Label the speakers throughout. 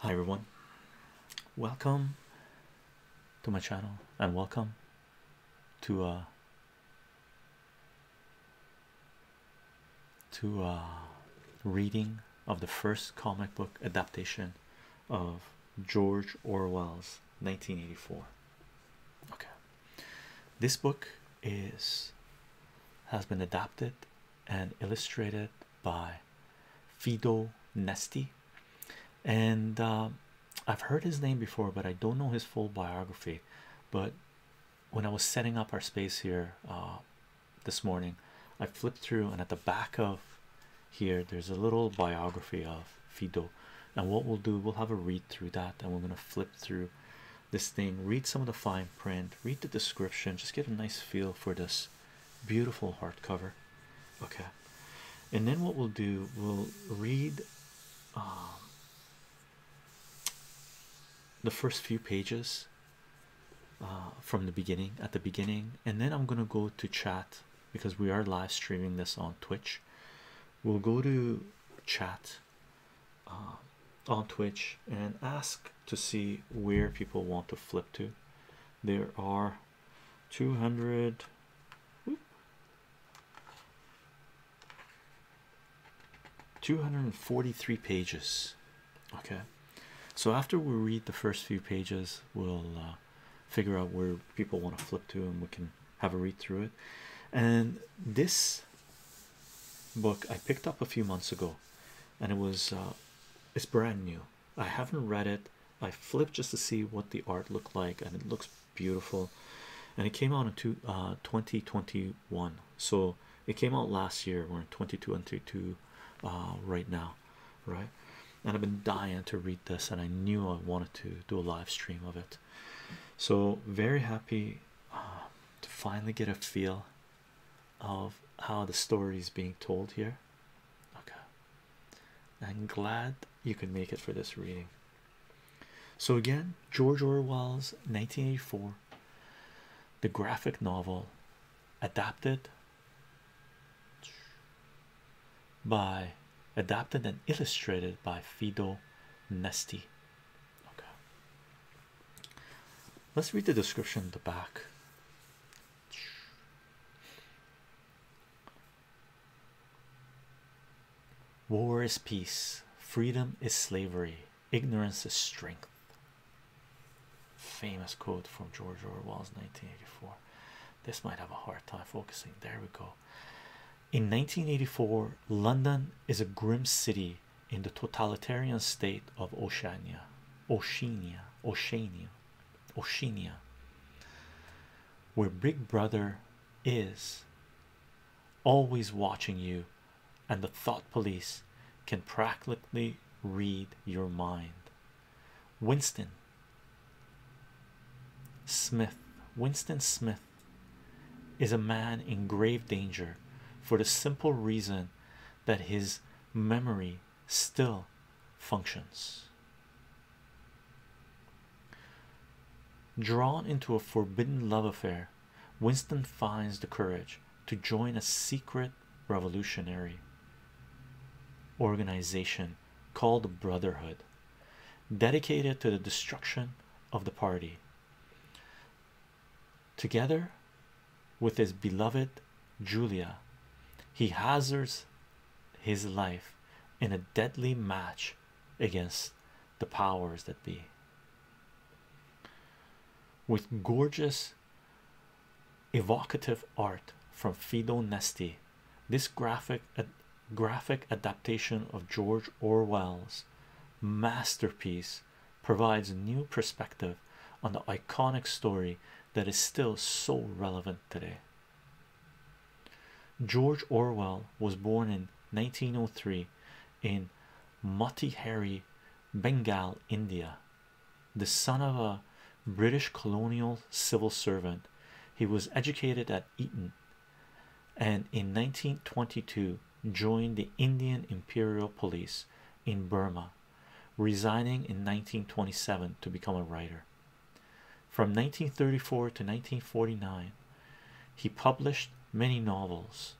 Speaker 1: Hi everyone, welcome to my channel and welcome to a uh, to uh reading of the first comic book adaptation of George Orwell's 1984. Okay, this book is has been adapted and illustrated by Fido Nesti. And uh, I've heard his name before, but I don't know his full biography. But when I was setting up our space here uh, this morning, I flipped through, and at the back of here, there's a little biography of Fido. And what we'll do, we'll have a read through that, and we're going to flip through this thing, read some of the fine print read the description just get a nice feel for this beautiful hardcover okay and then what we'll do we'll read um, the first few pages uh, from the beginning at the beginning and then I'm gonna go to chat because we are live streaming this on Twitch we'll go to chat uh, on Twitch and ask to see where people want to flip to. There are 200 243 pages. Okay, so after we read the first few pages, we'll uh, figure out where people want to flip to and we can have a read through it. And this book I picked up a few months ago, and it was uh, it's brand new i haven't read it i flipped just to see what the art looked like and it looks beautiful and it came out in two, uh, 2021 so it came out last year we're in 2022 uh, right now right and i've been dying to read this and i knew i wanted to do a live stream of it so very happy uh, to finally get a feel of how the story is being told here. Okay, I'm glad you could make it for this reading. So, again, George Orwell's 1984, the graphic novel adapted by adapted and illustrated by Fido Nesti. Okay. Let's read the description at the back. War is peace, freedom is slavery, ignorance is strength. Famous quote from George Orwell's 1984. This might have a hard time focusing. There we go. In 1984, London is a grim city in the totalitarian state of Oceania. Oceania. Oceania, Oceania, where Big Brother is always watching you, and the thought police can practically read your mind. Winston Smith, Winston Smith is a man in grave danger for the simple reason that his memory still functions. Drawn into a forbidden love affair, Winston finds the courage to join a secret revolutionary organization called the Brotherhood, dedicated to the destruction of the party together with his beloved Julia, he hazards his life in a deadly match against the powers that be. With gorgeous, evocative art from Fido Nesti, this graphic graphic adaptation of George Orwell's masterpiece provides a new perspective on the iconic story that is still so relevant today. George Orwell was born in 1903 in Motihari, Bengal, India. The son of a British colonial civil servant, he was educated at Eton and in 1922 joined the Indian Imperial Police in Burma resigning in 1927 to become a writer. From 1934 to 1949, he published many novels.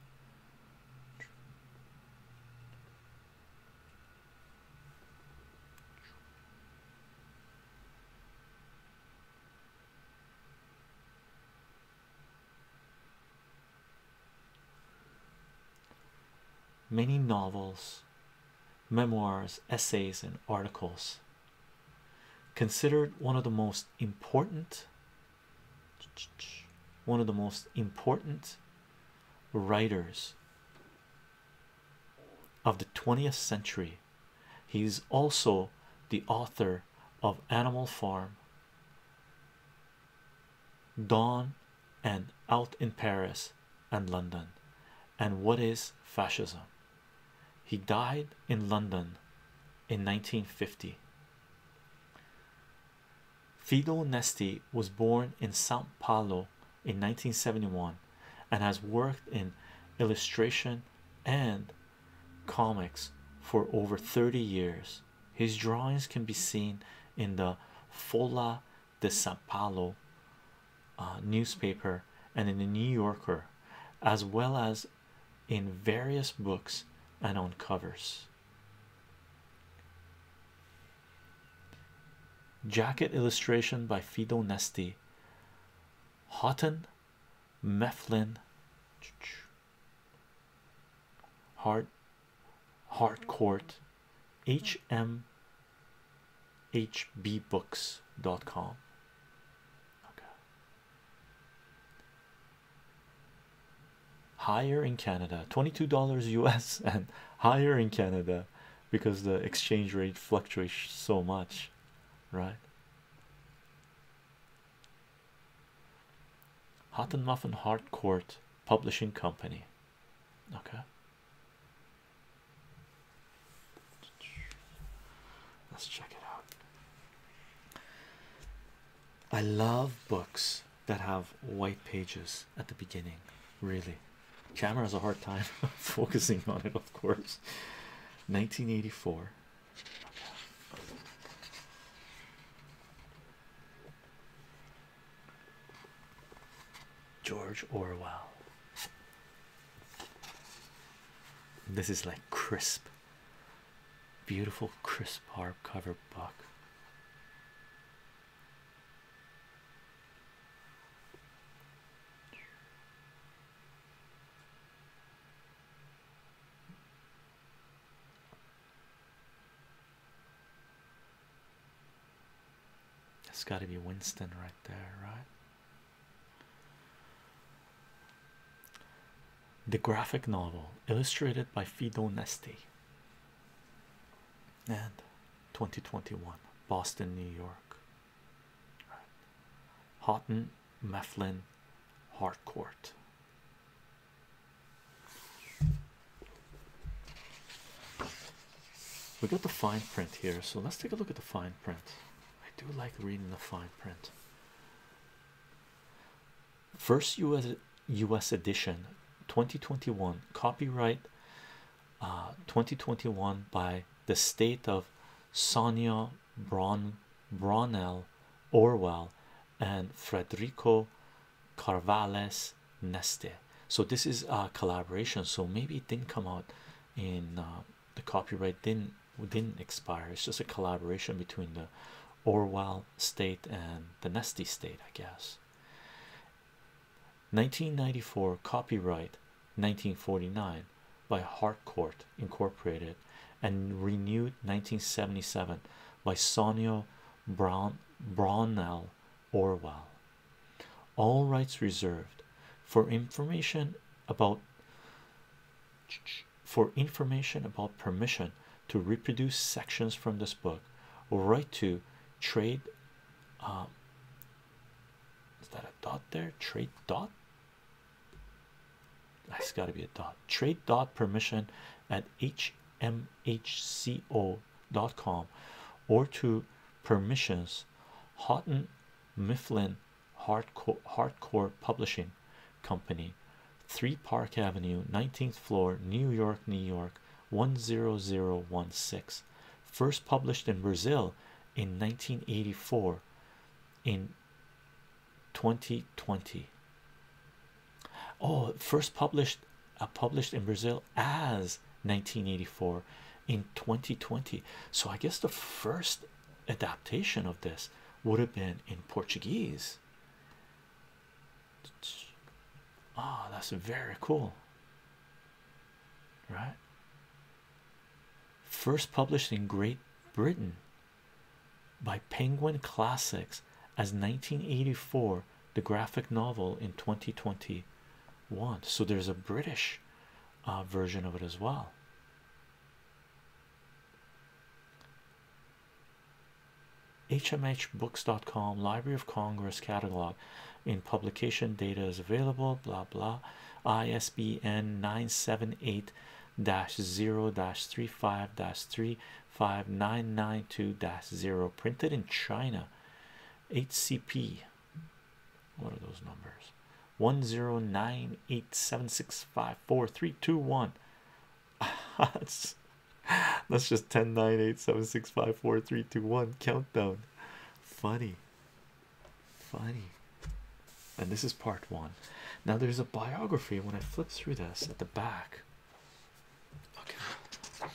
Speaker 1: Many novels, memoirs, essays, and articles. Considered one of the most important, one of the most important writers of the 20th century. He is also the author of Animal Farm, Dawn and out in Paris and London, and what is fascism? He died in London in 1950. Fido Nesti was born in Sao Paulo in 1971 and has worked in illustration and comics for over 30 years. His drawings can be seen in the Folla the Sao Paulo uh, newspaper and in the New Yorker, as well as in various books and on covers. Jacket illustration by Fido Nesti, Houghton, Mifflin, Heart. Hardcourt hmhbbooks.com. Okay. Higher in Canada, $22 US, and higher in Canada because the exchange rate fluctuates so much, right? Hot and Muffin Hardcourt Publishing Company okay let's check it out I love books that have white pages at the beginning really camera has a hard time focusing on it of course 1984 George Orwell. This is like crisp, beautiful, crisp hardcover book. It's got to be Winston right there, right? The graphic novel illustrated by Fido Nesti and 2021 Boston, New York. Houghton Mifflin Harcourt. We got the fine print here, so let's take a look at the fine print. I do like reading the fine print. First US US edition 2021 copyright uh, 2021 by the state of Sonia Braun Braunel Orwell and Frederico Carvales Neste. So this is a collaboration. So maybe it didn't come out in uh, the copyright didn't didn't expire. It's just a collaboration between the Orwell state and the Neste state, I guess. 1994 copyright 1949 by Harcourt Incorporated and renewed 1977 by Sonia Brown Brownell Orwell. All rights reserved. For information about for information about permission to reproduce sections from this book, write to trade. Um, is that a dot there? Trade dot. That's got to be a dot. Trade dot permission at hmhco co.com or to permissions Houghton Mifflin Hardcore, Hardcore Publishing Company, 3 Park Avenue, 19th floor, New York, New York 10016. First published in Brazil in 1984 in 2020. Oh, first published published in Brazil as 1984 in 2020. So I guess the first adaptation of this would have been in Portuguese. Ah, that's very cool, right? First published in Great Britain by Penguin Classics as 1984 the graphic novel in 2020, 2021 so there's a british uh, version of it as well hmhbooks.com library of congress catalog in publication data is available blah blah isbn 978 0 35 35992 0 printed in china hcp what are those numbers? One zero nine eight seven six five four three two one. that's that's just ten nine eight seven six five four three two one countdown. Funny, funny. And this is part one. Now there's a biography. When I flip through this at the back, okay,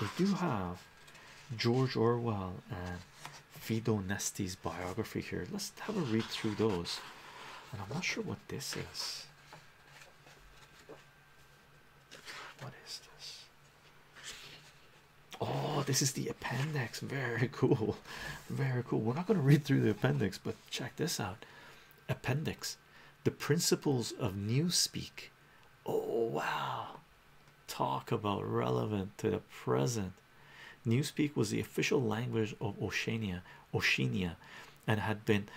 Speaker 1: they do have George Orwell and Fido Nesti's biography here. Let's have a read through those. And I'm not sure what this is. What is this? Oh, this is the appendix. Very cool. Very cool. We're not going to read through the appendix, but check this out. Appendix The Principles of Newspeak. Oh, wow talk about relevant to the present. Newspeak was the official language of Oceania, Oceania, and had been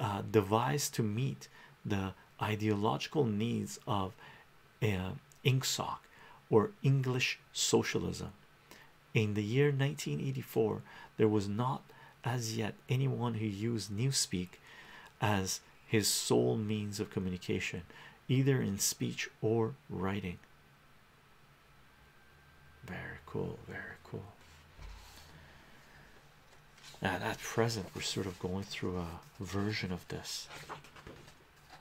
Speaker 1: uh, devised to meet the ideological needs of uh, INGSOC or English socialism. In the year 1984, there was not as yet anyone who used Newspeak as his sole means of communication, either in speech or writing. Very cool, very cool. And at present, we're sort of going through a version of this.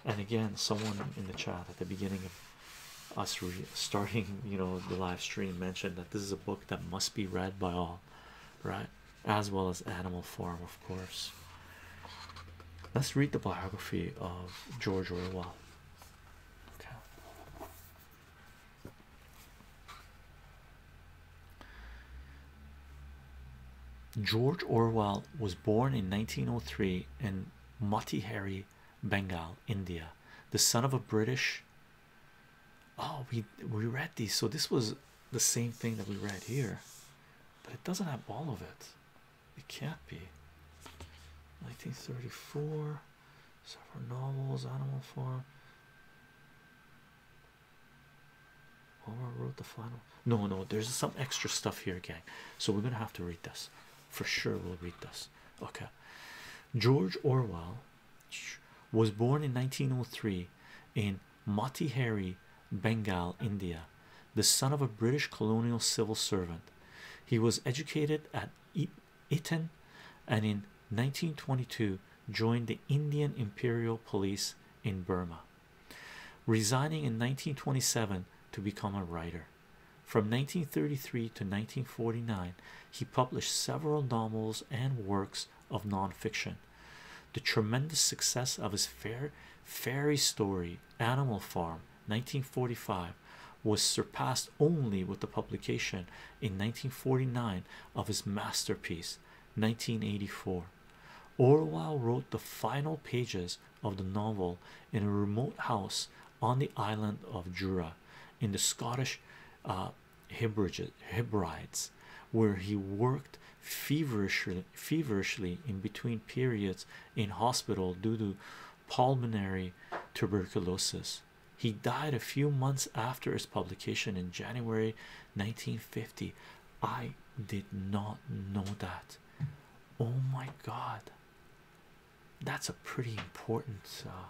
Speaker 1: And again, someone in the chat at the beginning of us re starting, you know, the live stream mentioned that this is a book that must be read by all right? As well as animal form, of course. Let's read the biography of George Orwell. Okay. George Orwell was born in 1903 in Motihari, Bengal, India, the son of a British. Oh, we we read these, so this was the same thing that we read here but it doesn't have all of it. It can't be. 1934, several novels, animal farm. Homer wrote the final. No, no, there's some extra stuff here, gang. So we're gonna have to read this for sure. We'll read this. Okay. George Orwell was born in 1903 in Mati Harry, Bengal, India, the son of a British colonial civil servant. He was educated at Eton and in 1922 joined the Indian Imperial Police in Burma, resigning in 1927 to become a writer. From 1933 to 1949, he published several novels and works of non-fiction, the tremendous success of his fairy story Animal Farm 1945 was surpassed only with the publication in 1949 of his masterpiece 1984. Orwell wrote the final pages of the novel in a remote house on the island of Jura in the Scottish Hebrides, uh, where he worked feverishly feverishly in between periods in hospital due to pulmonary tuberculosis he died a few months after his publication in january 1950 i did not know that oh my god that's a pretty important uh,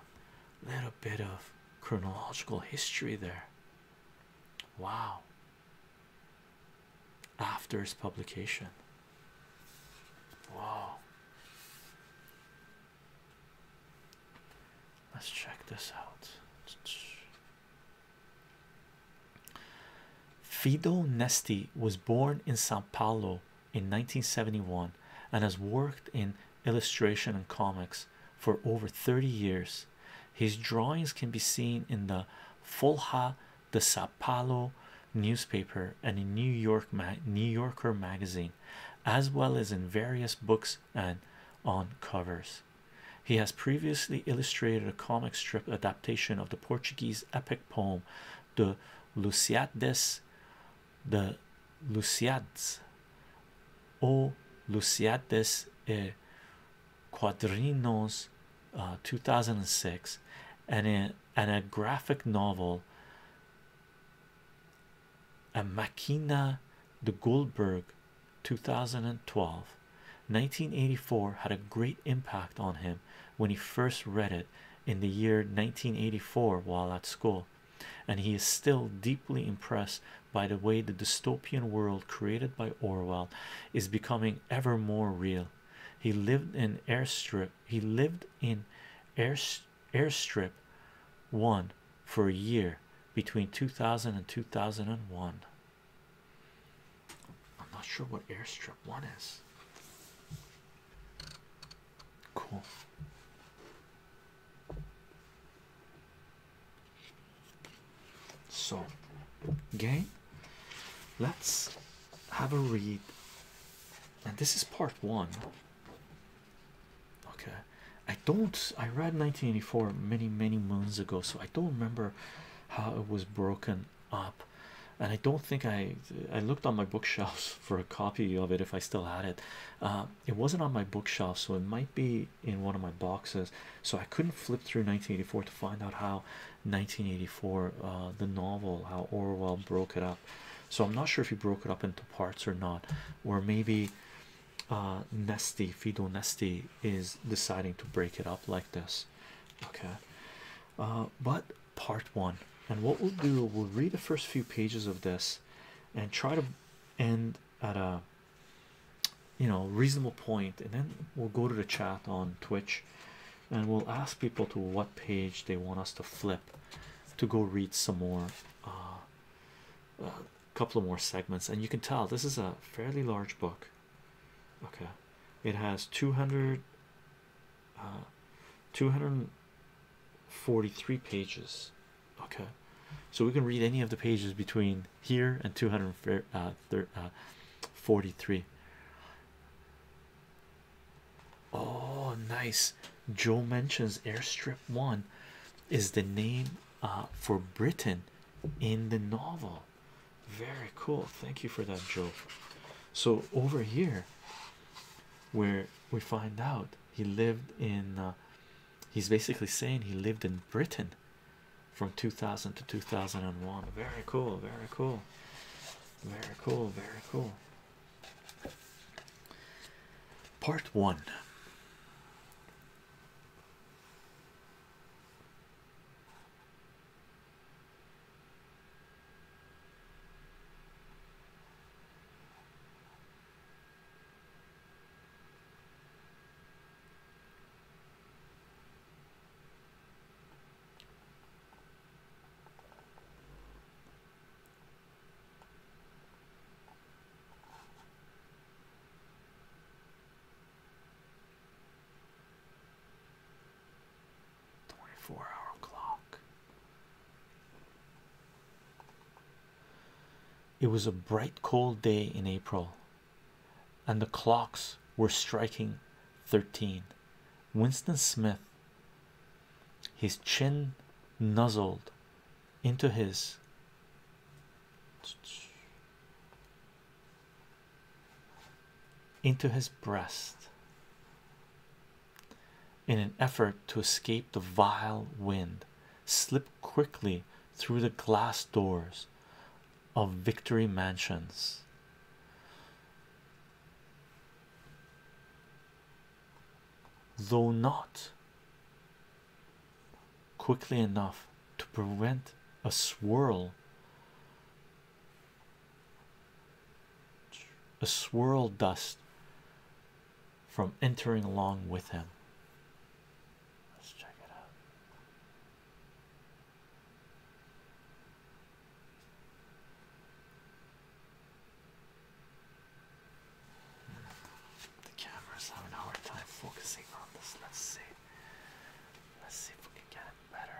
Speaker 1: little bit of chronological history there wow after its publication. Wow. Let's check this out. Fido Nesti was born in Sao Paulo in 1971 and has worked in illustration and comics for over 30 years. His drawings can be seen in the Folha de Sao Paulo newspaper and in New York New Yorker magazine, as well as in various books and on covers. He has previously illustrated a comic strip adaptation of the Portuguese epic poem De Lusiades, the Lusiades, O Lusiades e Quadrinos, uh, 2006, and a, and a graphic novel, A Machina de Goldberg, 2012. 1984 had a great impact on him when he first read it in the year 1984 while at school, and he is still deeply impressed by the way the dystopian world created by Orwell is becoming ever more real. He lived in airstrip. He lived in airstrip one for a year between 2000 and 2001. I'm not sure what airstrip one is. Cool. So, gang, let's have a read. And this is part one. Okay, I don't, I read 1984 many, many moons ago, so I don't remember how it was broken up. And I don't think I I looked on my bookshelves for a copy of it if I still had it. Uh, it wasn't on my bookshelf, so it might be in one of my boxes. So I couldn't flip through 1984 to find out how 1984 uh, the novel how Orwell broke it up so I'm not sure if he broke it up into parts or not or maybe uh, Nesty Fido Nesty is deciding to break it up like this okay uh, but part one and what we'll do we'll read the first few pages of this and try to end at a you know reasonable point and then we'll go to the chat on twitch and we'll ask people to what page they want us to flip to go read some more a uh, uh, couple more segments and you can tell this is a fairly large book okay it has 200 uh, 243 pages okay so we can read any of the pages between here and 243 uh, uh, oh nice joe mentions airstrip one is the name uh, for britain in the novel very cool thank you for that joe so over here where we find out he lived in he's basically saying he lived in britain from 2000 to 2001 very cool very cool very cool very cool part one 24 hour clock. It was a bright cold day in April and the clocks were striking 13. Winston Smith, his chin nuzzled into his into his breast in an effort to escape the vile wind slipped quickly through the glass doors of Victory Mansions. Though not quickly enough to prevent a swirl, a swirl dust from entering along with him. Let's check it out. The camera's having a hard time focusing on this. Let's see. Let's see if we can get it better.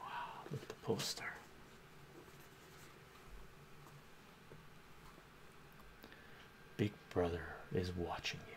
Speaker 1: Wow, look at the poster. Big brother is watching you.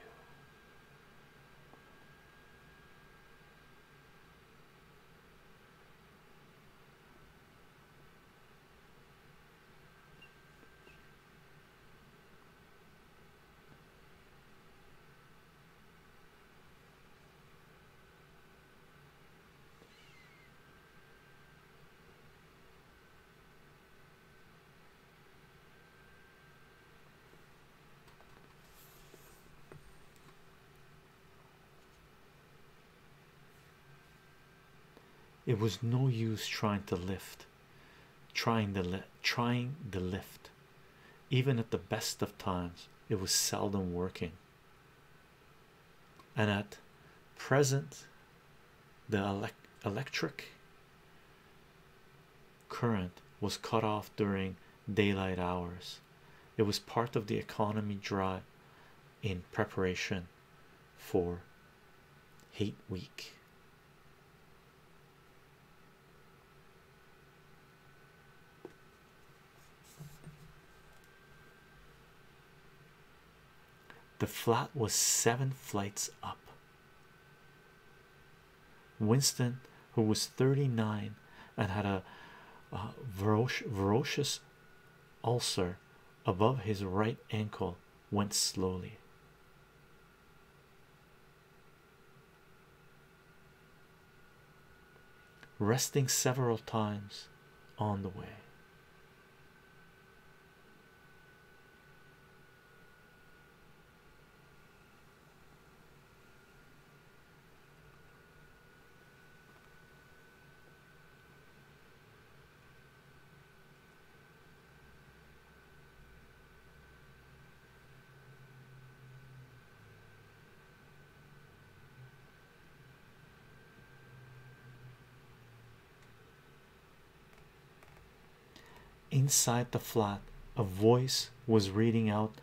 Speaker 1: It was no use trying to lift, trying the lift, trying the lift. Even at the best of times, it was seldom working and at present the electric current was cut off during daylight hours it was part of the economy drive in preparation for hate week the flat was seven flights up. Winston, who was 39 and had a uh, ulcer above his right ankle, went slowly resting several times on the way. Inside the flat, a voice was reading out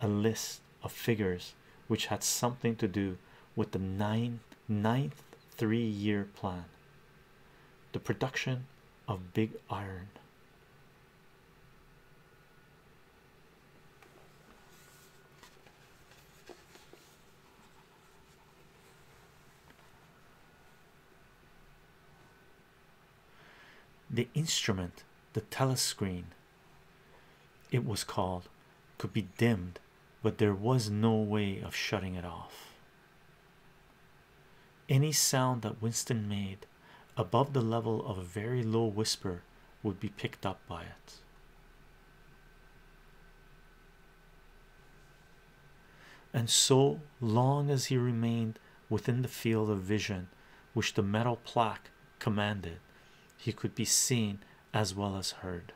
Speaker 1: a list of figures which had something to do with the nine, ninth three year plan, the production of big iron the instrument the telescreen it was called could be dimmed but there was no way of shutting it off any sound that winston made above the level of a very low whisper would be picked up by it. And so long as he remained within the field of vision which the metal plaque commanded, he could be seen as well as heard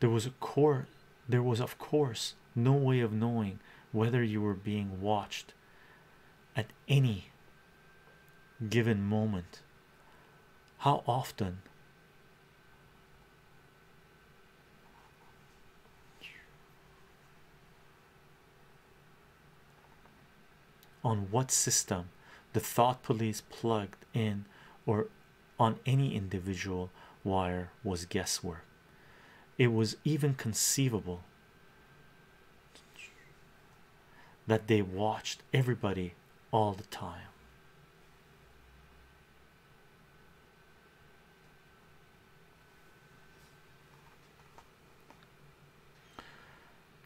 Speaker 1: there was a court. there was of course no way of knowing whether you were being watched at any given moment how often on what system the thought police plugged in or on any individual wire was guesswork. It was even conceivable that they watched everybody all the time.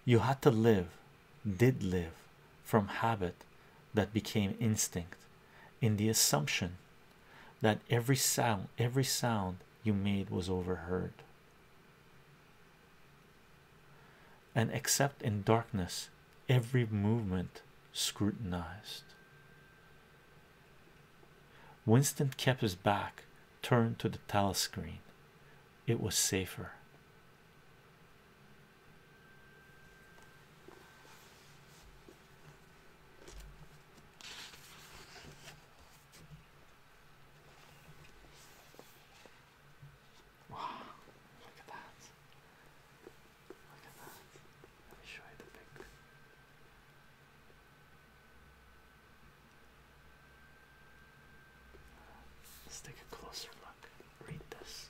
Speaker 1: You had to live, did live, from habit that became instinct in the assumption that every sound every sound you made was overheard and except in darkness every movement scrutinized winston kept his back turned to the telescreen it was safer Wow, look at that. Look at that. Let me show you the picture. Let's take a closer look. Read this.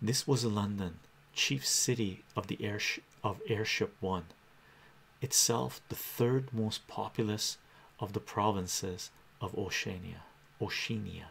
Speaker 1: This was London, chief city of the airship of airship one, itself the third most populous of the provinces of Oceania. Oceania.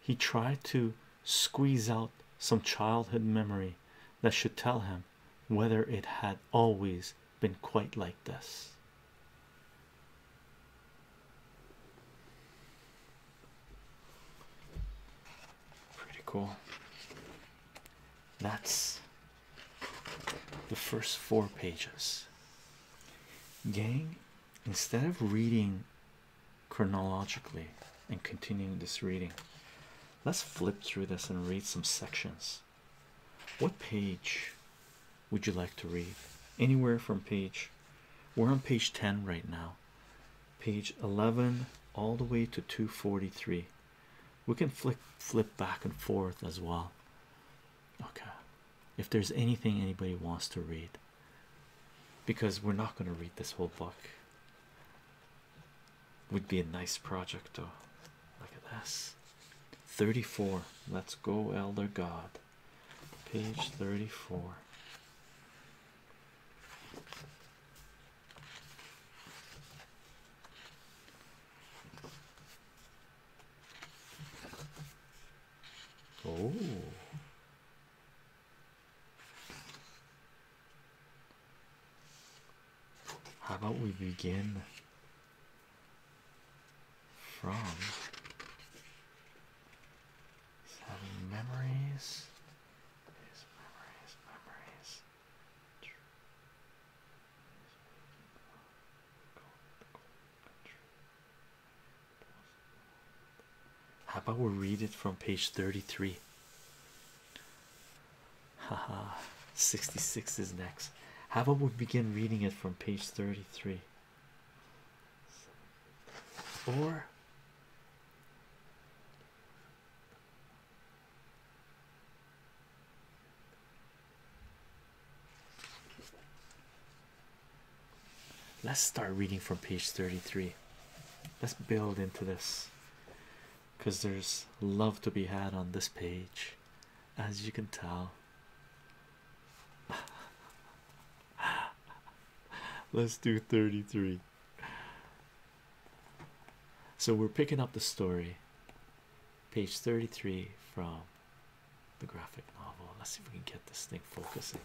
Speaker 1: He tried to squeeze out some childhood memory that should tell him whether it had always been quite like this. Pretty cool. That's the first four pages. Gang, instead of reading chronologically and continuing this reading, let's flip through this and read some sections. What page would you like to read? Anywhere from page, we're on page 10 right now page 11 all the way to 243 we can flip flip back and forth as well okay if there's anything anybody wants to read because we're not going to read this whole book would be a nice project though look at this 34 let's go elder god page 34 Oh. How about we begin from memories how about we read it from page 33? Haha, 66 is next. How about we begin reading it from page 33? Or Let's start reading from page 33. Let's build into this because there's love to be had on this page, as you can tell. Let's do 33 so we're picking up the story, page 33 from the graphic novel. Let's see if we can get this thing focusing.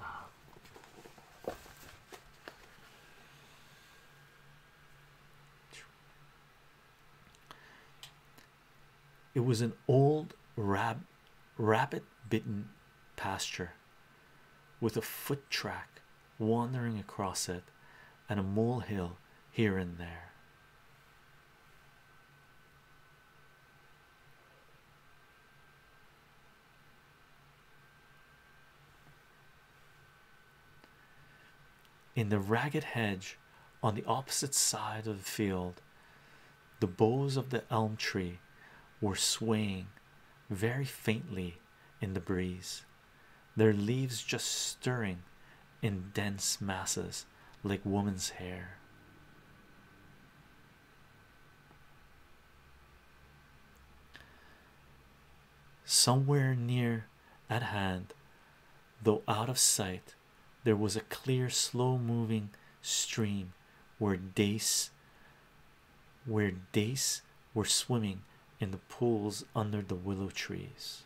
Speaker 1: Um, it was an old rab rabbit bitten pasture with a foot track wandering across it and a molehill here and there. In the ragged hedge on the opposite side of the field, the boughs of the elm tree were swaying very faintly in the breeze, their leaves just stirring in dense masses like woman's hair. Somewhere near at hand, though out of sight, there was a clear, slow moving stream where dace where dace were swimming in the pools under the willow trees.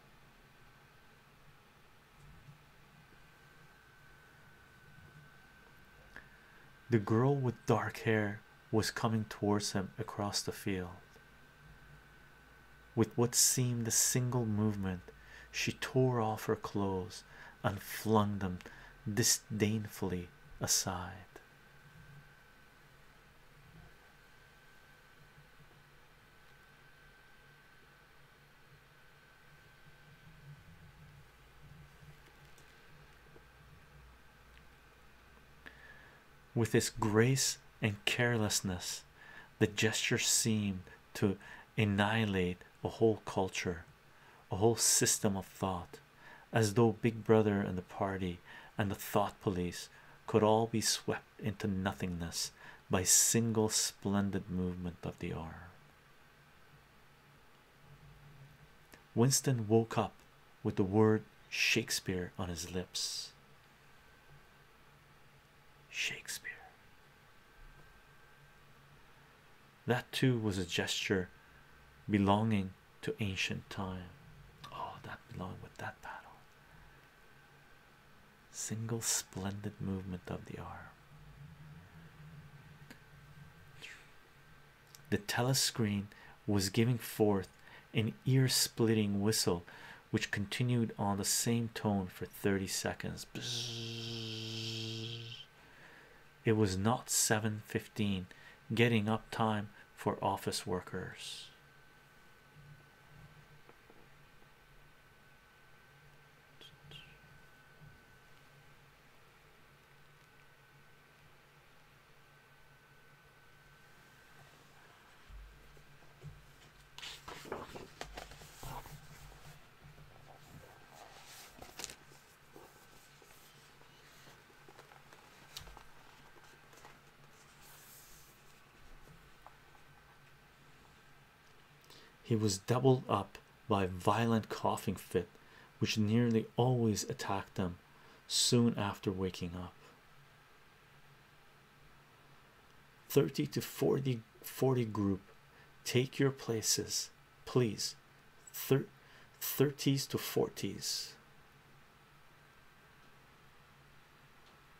Speaker 1: The girl with dark hair was coming towards him across the field. With what seemed a single movement, she tore off her clothes and flung them disdainfully aside. With this grace and carelessness, the gesture seemed to annihilate a whole culture, a whole system of thought, as though Big Brother and the party and the thought police could all be swept into nothingness by single splendid movement of the arm. Winston woke up with the word Shakespeare on his lips. Shakespeare. That too was a gesture belonging to ancient time. Oh, that belonged with that battle. Single splendid movement of the arm. The telescreen was giving forth an ear splitting whistle, which continued on the same tone for 30 seconds. It was not 7:15, getting up time for office workers. He was doubled up by a violent coughing fit, which nearly always attacked them soon after waking up. 30 to forty, forty group take your places please 30s to 40s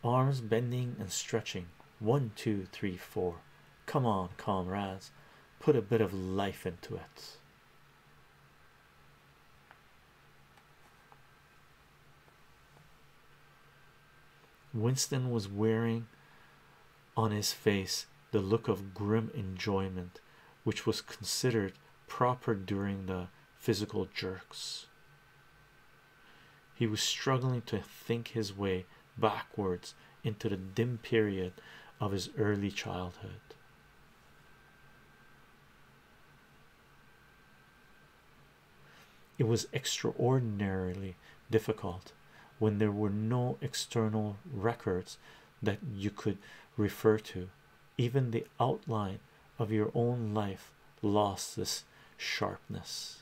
Speaker 1: Arms bending and stretching. One, two, three, four. Come on, comrades, put a bit of life into it. Winston was wearing on his face the look of grim enjoyment which was considered proper during the physical jerks. He was struggling to think his way backwards into the dim period of his early childhood. It was extraordinarily difficult when there were no external records that you could refer to even the outline of your own life lost this sharpness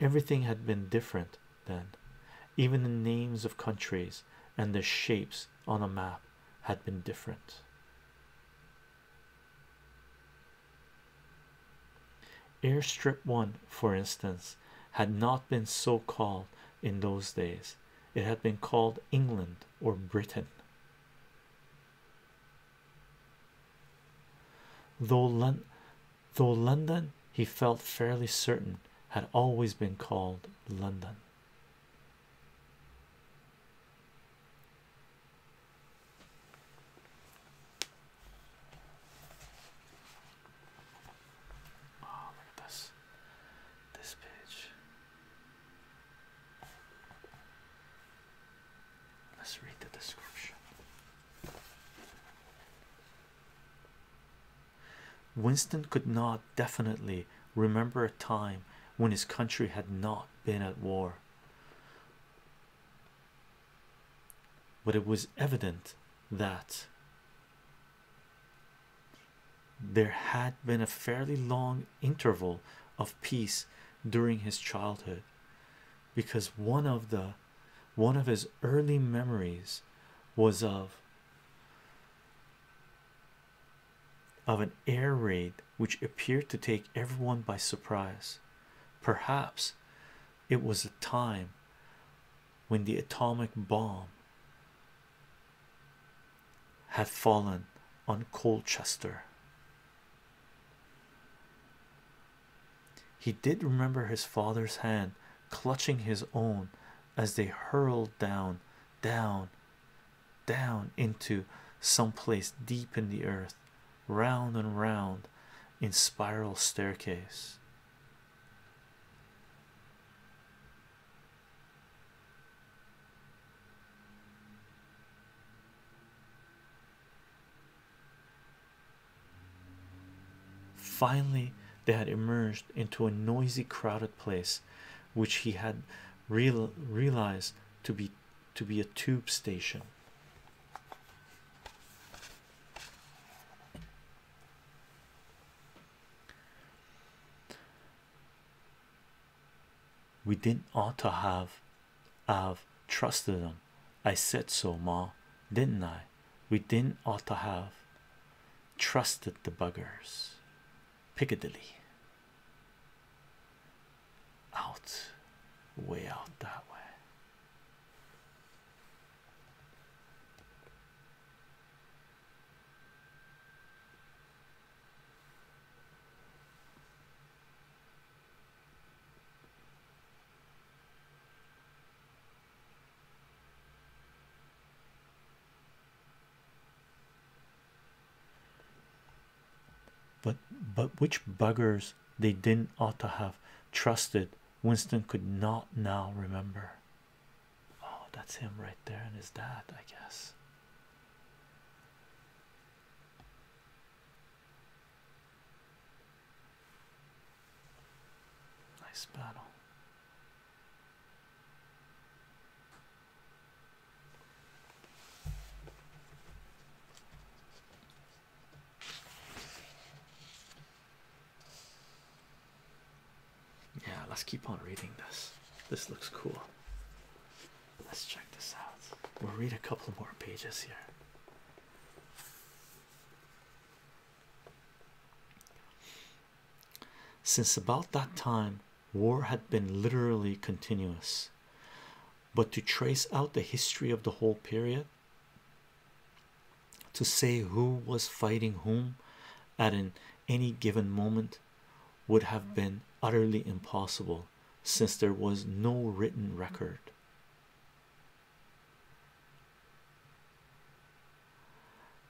Speaker 1: everything had been different then even the names of countries and the shapes on a map had been different Air Strip 1, for instance, had not been so called in those days, it had been called England or Britain. Though, Lon though London, he felt fairly certain, had always been called London. Oh, look at this. This page. Let's read the description. Winston could not definitely remember a time when his country had not been at war. But it was evident that there had been a fairly long interval of peace during his childhood because one of the one of his early memories was of of an air raid which appeared to take everyone by surprise. Perhaps it was a time when the atomic bomb had fallen on Colchester. He did remember his father's hand clutching his own as they hurled down, down, down into some place deep in the earth, round and round in spiral staircase. Finally, they had emerged into a noisy, crowded place, which he had realized to be to be a tube station. We didn't ought to have have trusted them. I said so, Ma, didn't I? We didn't ought to have trusted the buggers. Piccadilly. Out, way out that way. But but which buggers they didn't ought to have trusted Winston could not now remember. Oh, that's him right there, and his dad, I guess. Nice battle. Yeah, let's keep on reading this. This looks cool. Let's check this out. We'll read a couple more pages here. Since about that time, war had been literally continuous. But to trace out the history of the whole period, to say who was fighting whom at any given moment would have been utterly impossible since there was no written record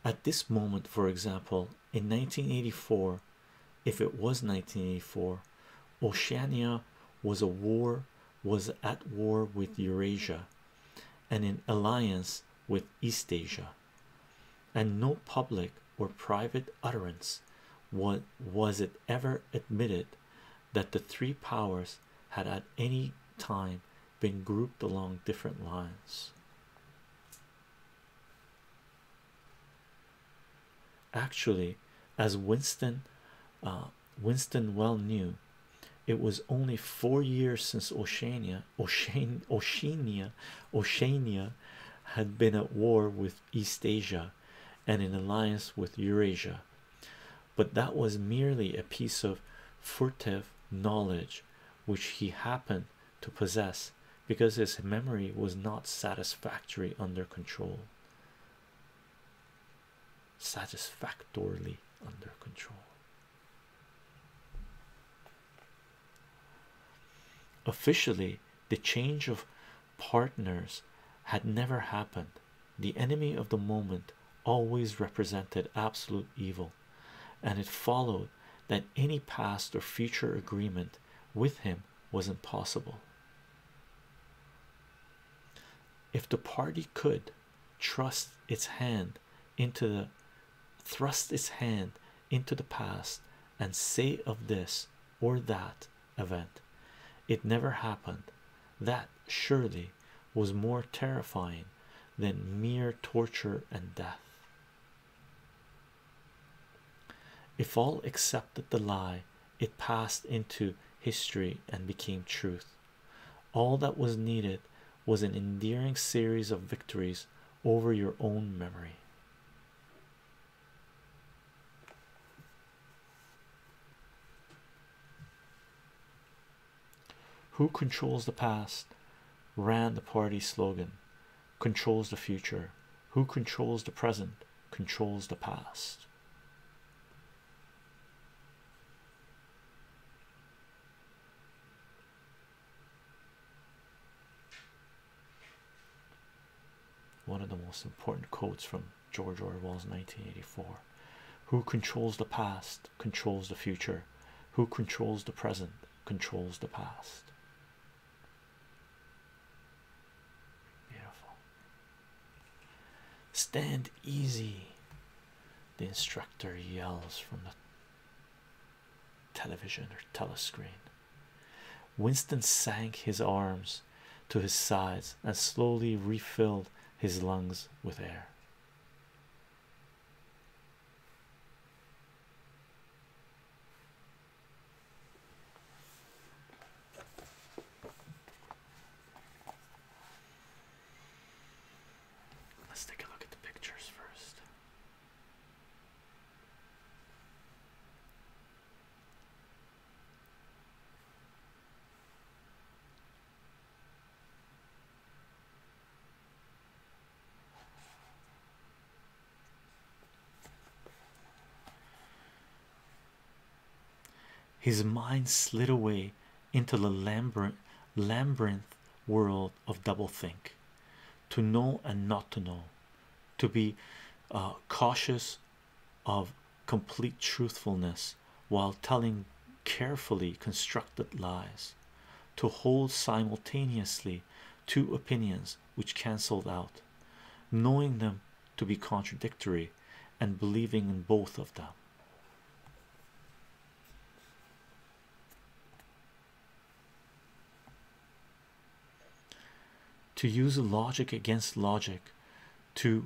Speaker 1: at this moment for example in 1984 if it was 1984 oceania was a war was at war with eurasia and in alliance with East Asia, and no public or private utterance what was it ever admitted that the three powers had at any time been grouped along different lines. Actually, as Winston uh, Winston well knew, it was only four years since Oceania Ocean Oceania Oceania had been at war with East Asia and in alliance with Eurasia, but that was merely a piece of furtive knowledge which he happened to possess because his memory was not satisfactorily under control satisfactorily under control Officially, the change of partners had never happened. The enemy of the moment always represented absolute evil, and it followed that any past or future agreement with him was impossible. If the party could trust its hand into the thrust his hand into the past and say of this or that event it never happened that surely was more terrifying than mere torture and death if all accepted the lie it passed into history and became truth all that was needed was an endearing series of victories over your own memory. Who controls the past? Ran the party slogan. Controls the future. Who controls the present? Controls the past. One of the most important quotes from George Orwell's 1984 Who controls the past controls the future, who controls the present controls the past. Beautiful. Stand easy, the instructor yells from the television or telescreen. Winston sank his arms to his sides and slowly refilled his lungs with air. Let's take a look at the pictures first. His mind slid away into the labyrinth world of doublethink to know and not to know, to be uh, cautious of complete truthfulness while telling carefully constructed lies, to hold simultaneously two opinions which cancelled out, knowing them to be contradictory and believing in both of them to use logic against logic to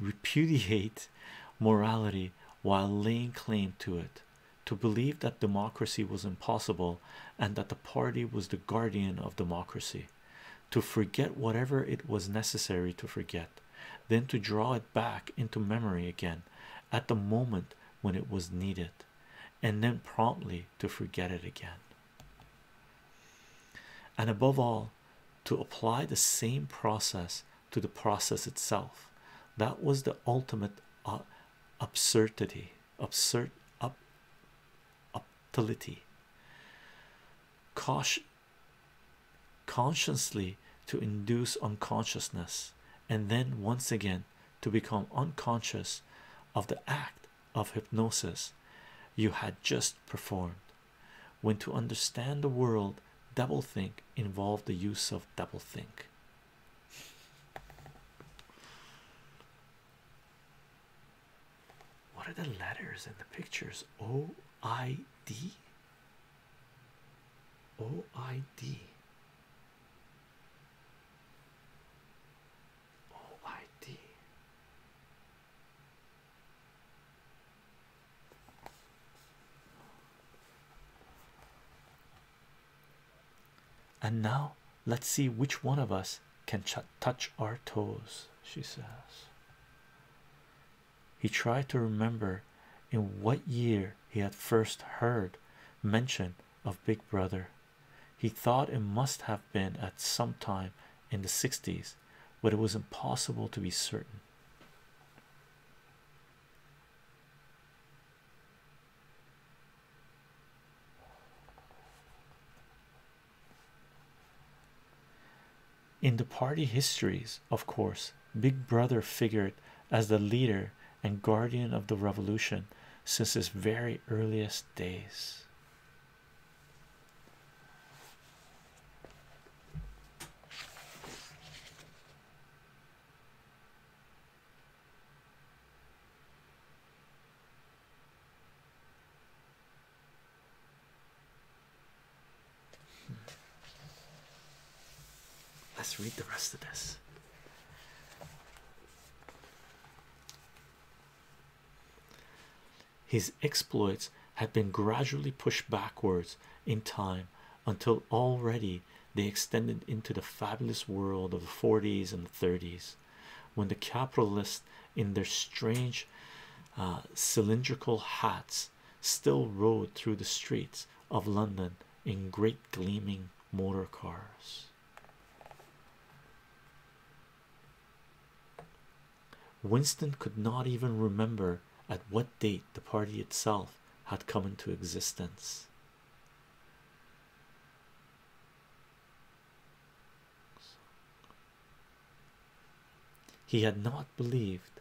Speaker 1: repudiate morality while laying claim to it to believe that democracy was impossible and that the party was the guardian of democracy to forget whatever it was necessary to forget then to draw it back into memory again at the moment when it was needed, and then promptly to forget it again. And above all, to apply the same process to the process itself. That was the ultimate uh, absurdity, absurd, up, Caution, consciously to induce unconsciousness and then once again to become unconscious of the act of hypnosis you had just performed when to understand the world doublethink involved the use of doublethink what are the letters and the pictures Oh. OID and now let's see which one of us can touch our toes she says he tried to remember in what year he had first heard mention of Big Brother. He thought it must have been at some time in the 60s, but it was impossible to be certain in the party histories, of course, Big Brother figured as the leader and guardian of the revolution since his very earliest days. Let's read the rest of this. His exploits had been gradually pushed backwards in time until already they extended into the fabulous world of the 40s and the 30s when the capitalists in their strange uh, cylindrical hats still rode through the streets of London in great gleaming motor cars. Winston could not even remember at what date the party itself had come into existence. He had not believed,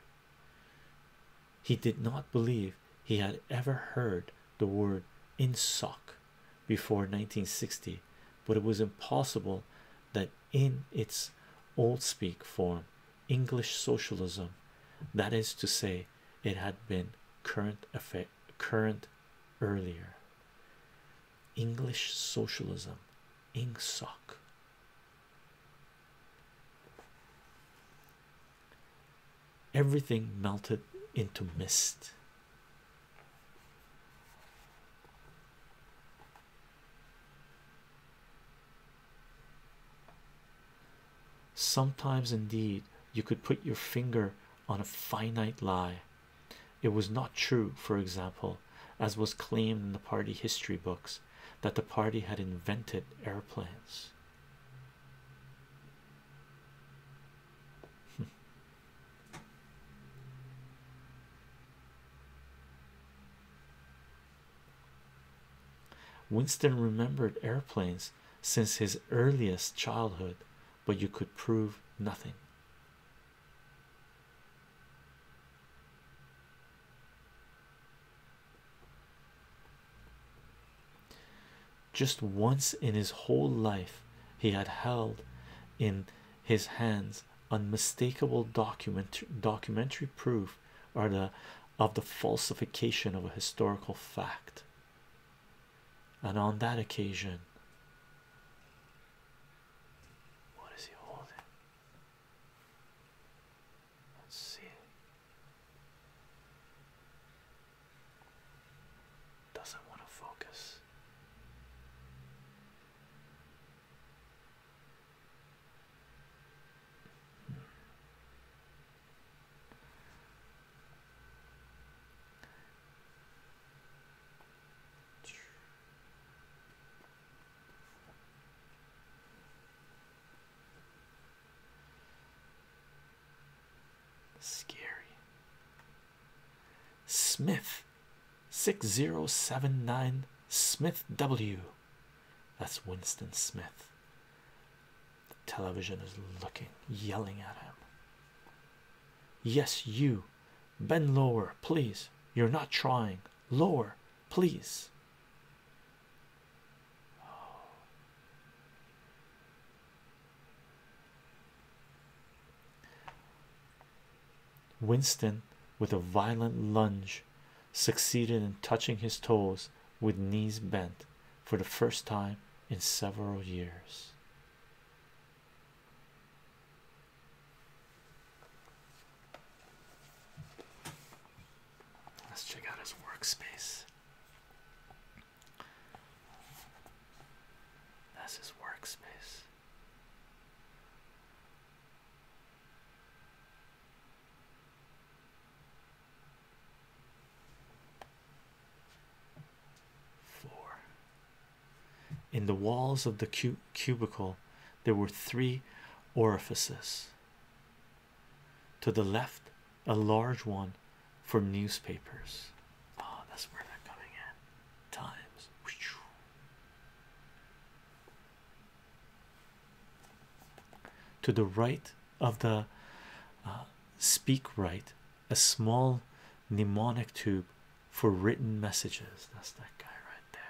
Speaker 1: he did not believe he had ever heard the word insoc before 1960, but it was impossible that in its old speak form, English socialism, that is to say, it had been current earlier. English socialism, INGSOC. Everything melted into mist. Sometimes, indeed, you could put your finger on a finite lie. It was not true, for example, as was claimed in the party history books that the party had invented airplanes. Winston remembered airplanes since his earliest childhood, but you could prove nothing. Just once in his whole life, he had held in his hands unmistakable documentary proof of the falsification of a historical fact. And on that occasion, Let's see. Doesn't want to focus. Scary. Smith 6079 Smith W. That's Winston Smith. television is looking, yelling at him. Yes, you bend lower, please. You're not trying lower, please. Winston, with a violent lunge, succeeded in touching his toes with knees bent for the first time in several years. Let's check out his workspace. That's his workspace. Four. In the walls of the cub cubicle, there were three orifices to the left a large one for newspapers oh that's where they're coming in times to the right of the uh, speak right a small mnemonic tube for written messages that's that guy right there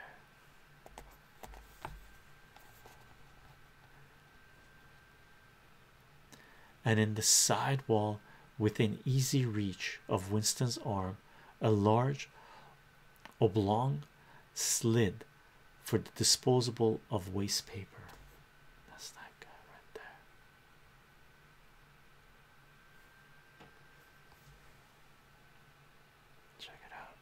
Speaker 1: and in the side wall within easy reach of Winston's arm a large oblong slid for the disposable of waste paper Check it out.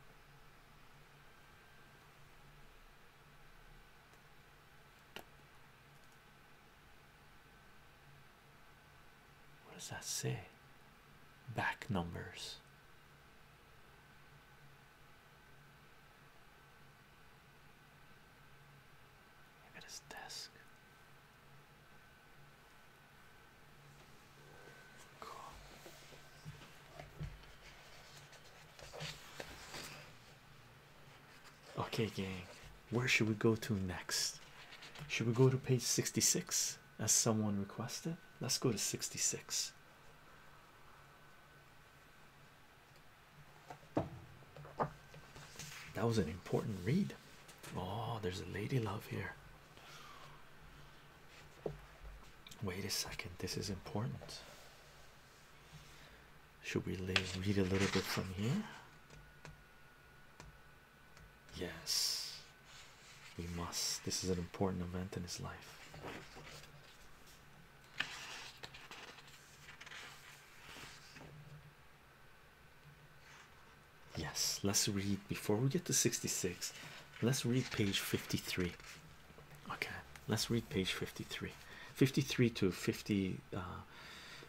Speaker 1: What does that say? Back numbers. Look at his desk. Cool. Okay, gang, where should we go to next? Should we go to page 66 as someone requested? Let's go to 66. That was an important read. Oh, there's a lady love here. Wait a second, this is important. Should we read a little bit from here? Yes, we must. This is an important event in his life. Yes, let's read before we get to 66. Let's read page 53. Okay, let's read page 53 53 to 50 uh,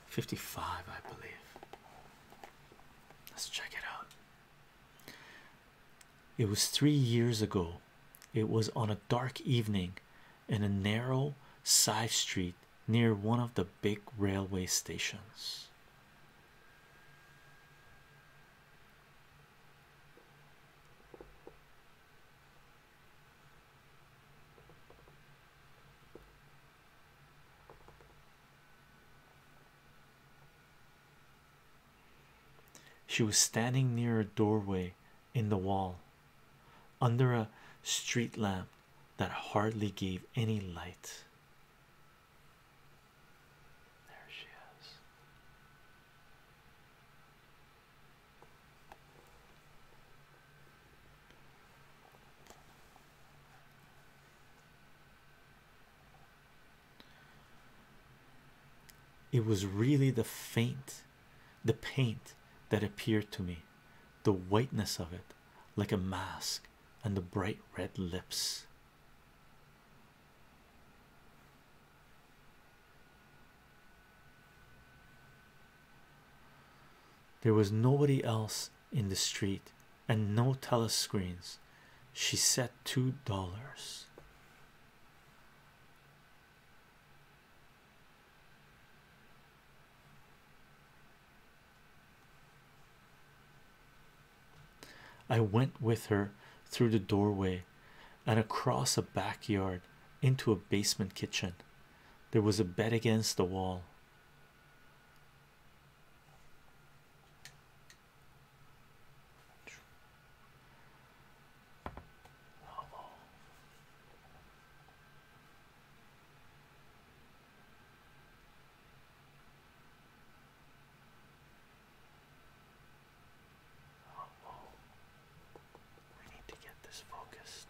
Speaker 1: 55, I believe. Let's check it out. It was three years ago. It was on a dark evening in a narrow side street near one of the big railway stations. She was standing near a doorway in the wall under a street lamp that hardly gave any light. There she is. It was really the faint, the paint that appeared to me, the whiteness of it, like a mask, and the bright red lips. There was nobody else in the street and no telescreens. She set two dollars. I went with her through the doorway and across a backyard into a basement kitchen. There was a bed against the wall. We need to get this focused.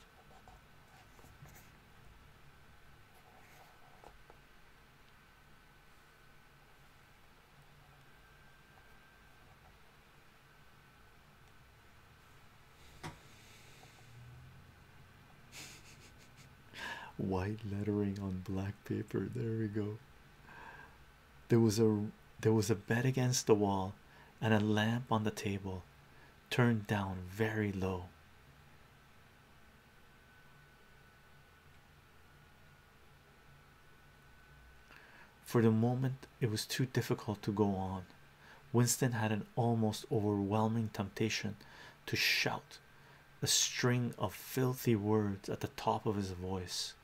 Speaker 1: White lettering on black paper. There we go there was a there was a bed against the wall and a lamp on the table turned down very low for the moment it was too difficult to go on winston had an almost overwhelming temptation to shout a string of filthy words at the top of his voice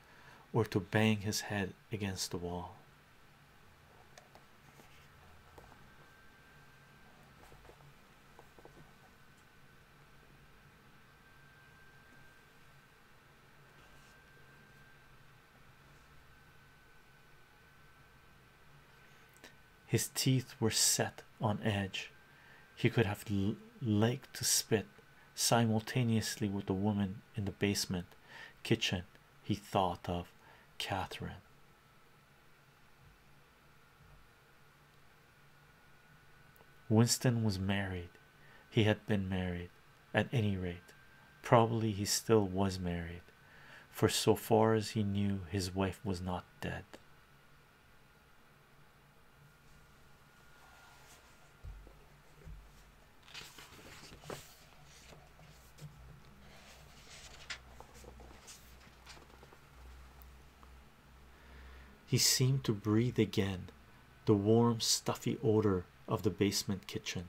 Speaker 1: or to bang his head against the wall. His teeth were set on edge. He could have liked to spit, simultaneously with the woman in the basement kitchen he thought of Catherine. Winston was married. He had been married, at any rate. Probably he still was married, for so far as he knew, his wife was not dead. He seemed to breathe again the warm, stuffy odor of the basement kitchen.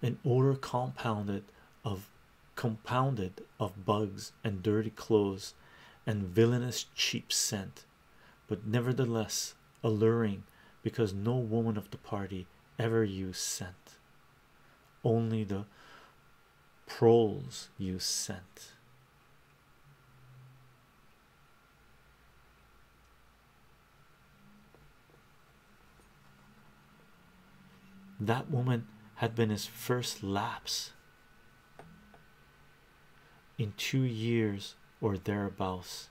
Speaker 1: An odor compounded of compounded of bugs and dirty clothes and villainous cheap scent but nevertheless alluring because no woman of the party ever used scent. Only the proles use scent. That woman had been his first lapse in two years or thereabouts.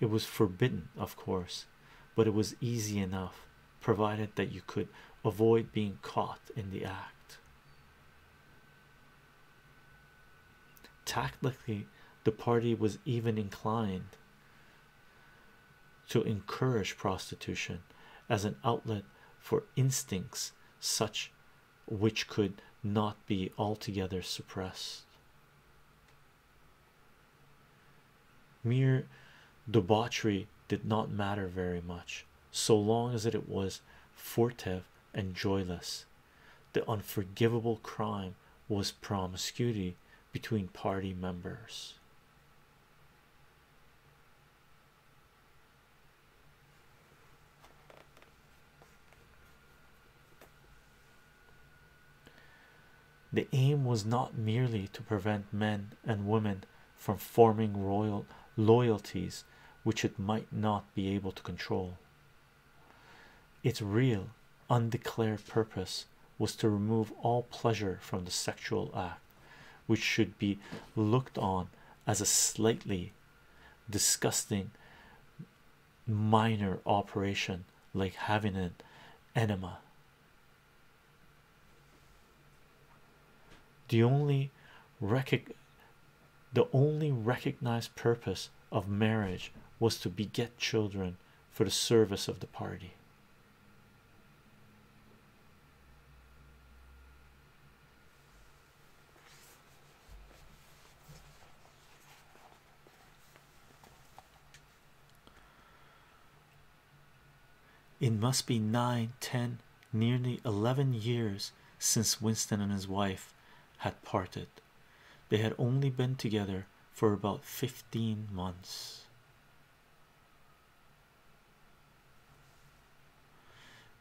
Speaker 1: It was forbidden, of course, but it was easy enough provided that you could avoid being caught in the act. Tactically, the party was even inclined to encourage prostitution as an outlet for instincts such which could not be altogether suppressed. Mere debauchery did not matter very much so long as it was furtive and joyless. The unforgivable crime was promiscuity between party members. The aim was not merely to prevent men and women from forming royal loyalties which it might not be able to control. Its real, undeclared purpose was to remove all pleasure from the sexual act, which should be looked on as a slightly disgusting minor operation like having an enema. The only the only recognized purpose of marriage was to beget children for the service of the party. It must be nine, ten, nearly eleven years since Winston and his wife had parted. They had only been together for about 15 months.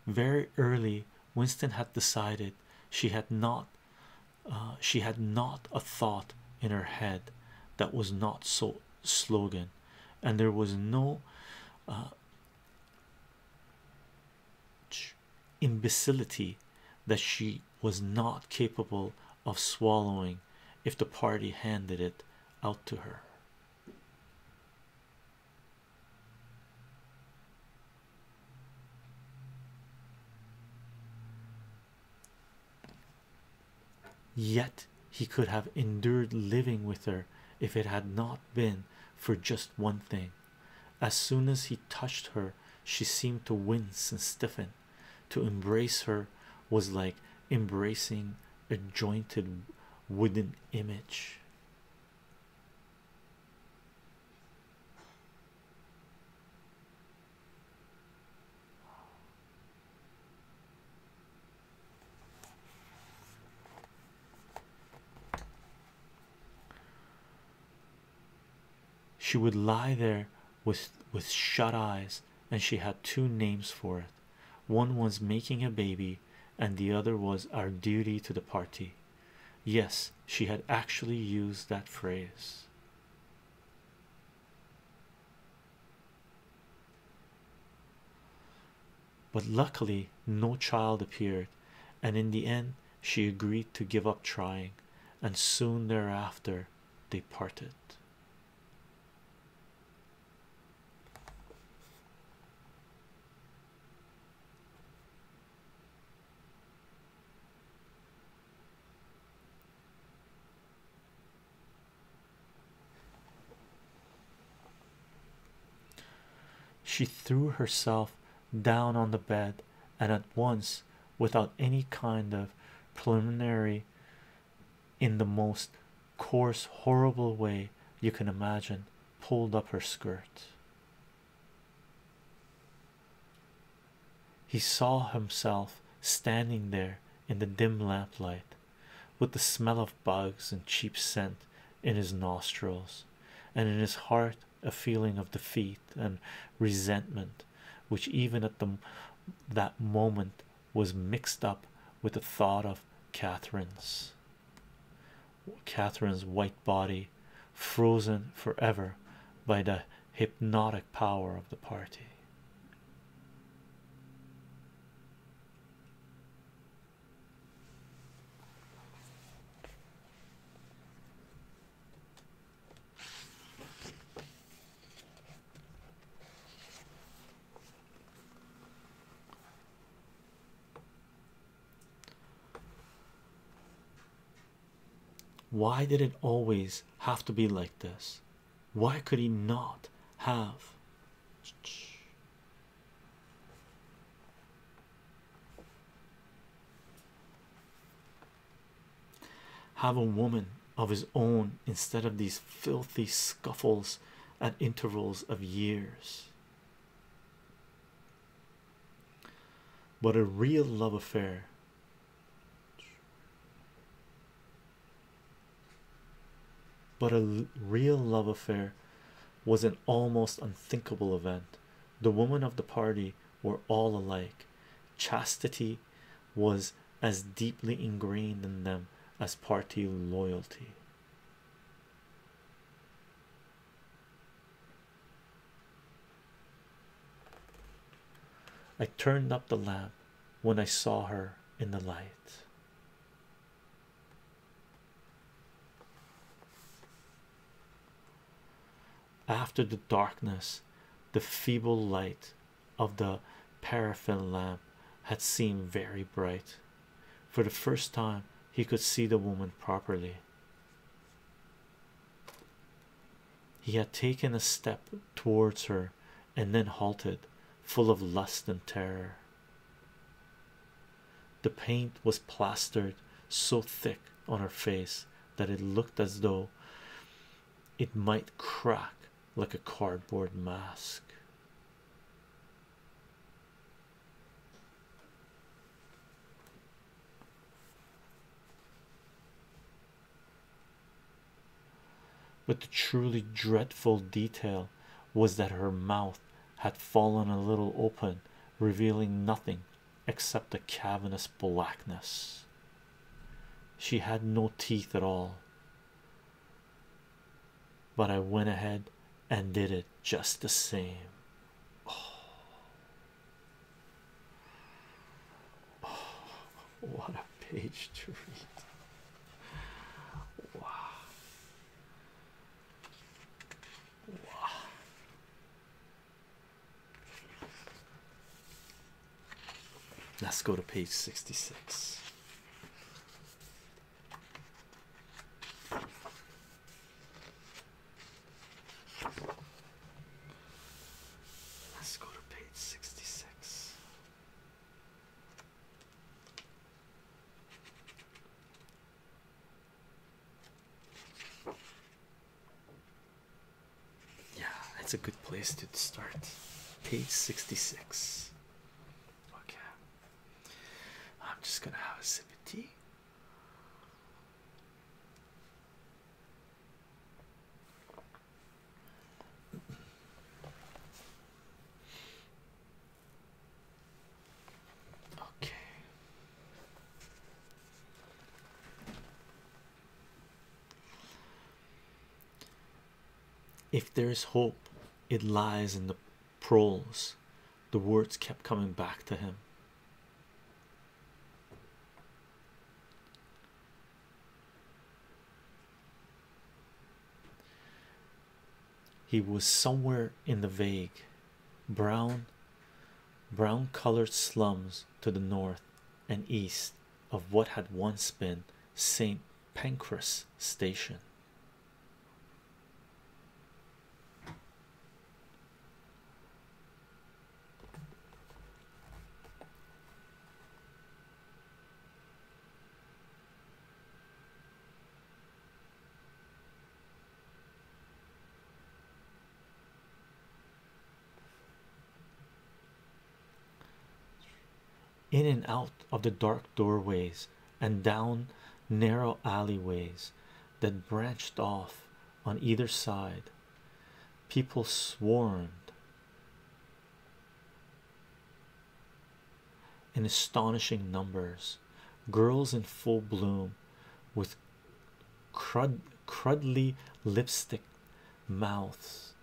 Speaker 1: Very early Winston had decided she had not uh, she had not a thought in her head that was not so slogan and there was no uh, imbecility that she was not capable of swallowing if the party handed it out to her Yet he could have endured living with her if it had not been for just one thing. As soon as he touched her, she seemed to wince and stiffen. To embrace her was like embracing a jointed wooden image. She would lie there with with shut eyes, and she had two names for it. One was making a baby, and the other was our duty to the party. Yes, she had actually used that phrase. But luckily, no child appeared, and in the end, she agreed to give up trying, and soon thereafter, they parted. She threw herself down on the bed and at once, without any kind of preliminary, in the most coarse, horrible way you can imagine, pulled up her skirt. He saw himself standing there in the dim lamplight with the smell of bugs and cheap scent in his nostrils, and in his heart a feeling of defeat and resentment, which even at that moment was mixed up with the thought of Catherine's Catherine's white body, frozen forever by the hypnotic power of the party. Why did it always have to be like this? Why could he not have? Have a woman of his own instead of these filthy scuffles at intervals of years. But a real love affair but a real love affair was an almost unthinkable event. The women of the party were all alike. Chastity was as deeply ingrained in them as party loyalty. I turned up the lamp when I saw her in the light. After the darkness, the feeble light of the paraffin lamp had seemed very bright. For the first time, he could see the woman properly. He had taken a step towards her and then halted, full of lust and terror. The paint was plastered so thick on her face that it looked as though it might crack like a cardboard mask. But the truly dreadful detail was that her mouth had fallen a little open, revealing nothing except a cavernous blackness. She had no teeth at all. But I went ahead and did it just the same. what a page to read! Wow, wow. Let's go to page 66. Let's go to page 66. Yeah, that's a good place to start. Page 66. Okay. I'm just gonna have a sip of tea. Okay. If there is hope, it lies in the proles. The words kept coming back to him. He was somewhere in the vague brown brown colored slums to the north and east of what had once been St. Pancras Station in and out of the dark doorways and down narrow alleyways that branched off on either side people swarmed in astonishing numbers girls in full bloom with crud crudly lipstick mouths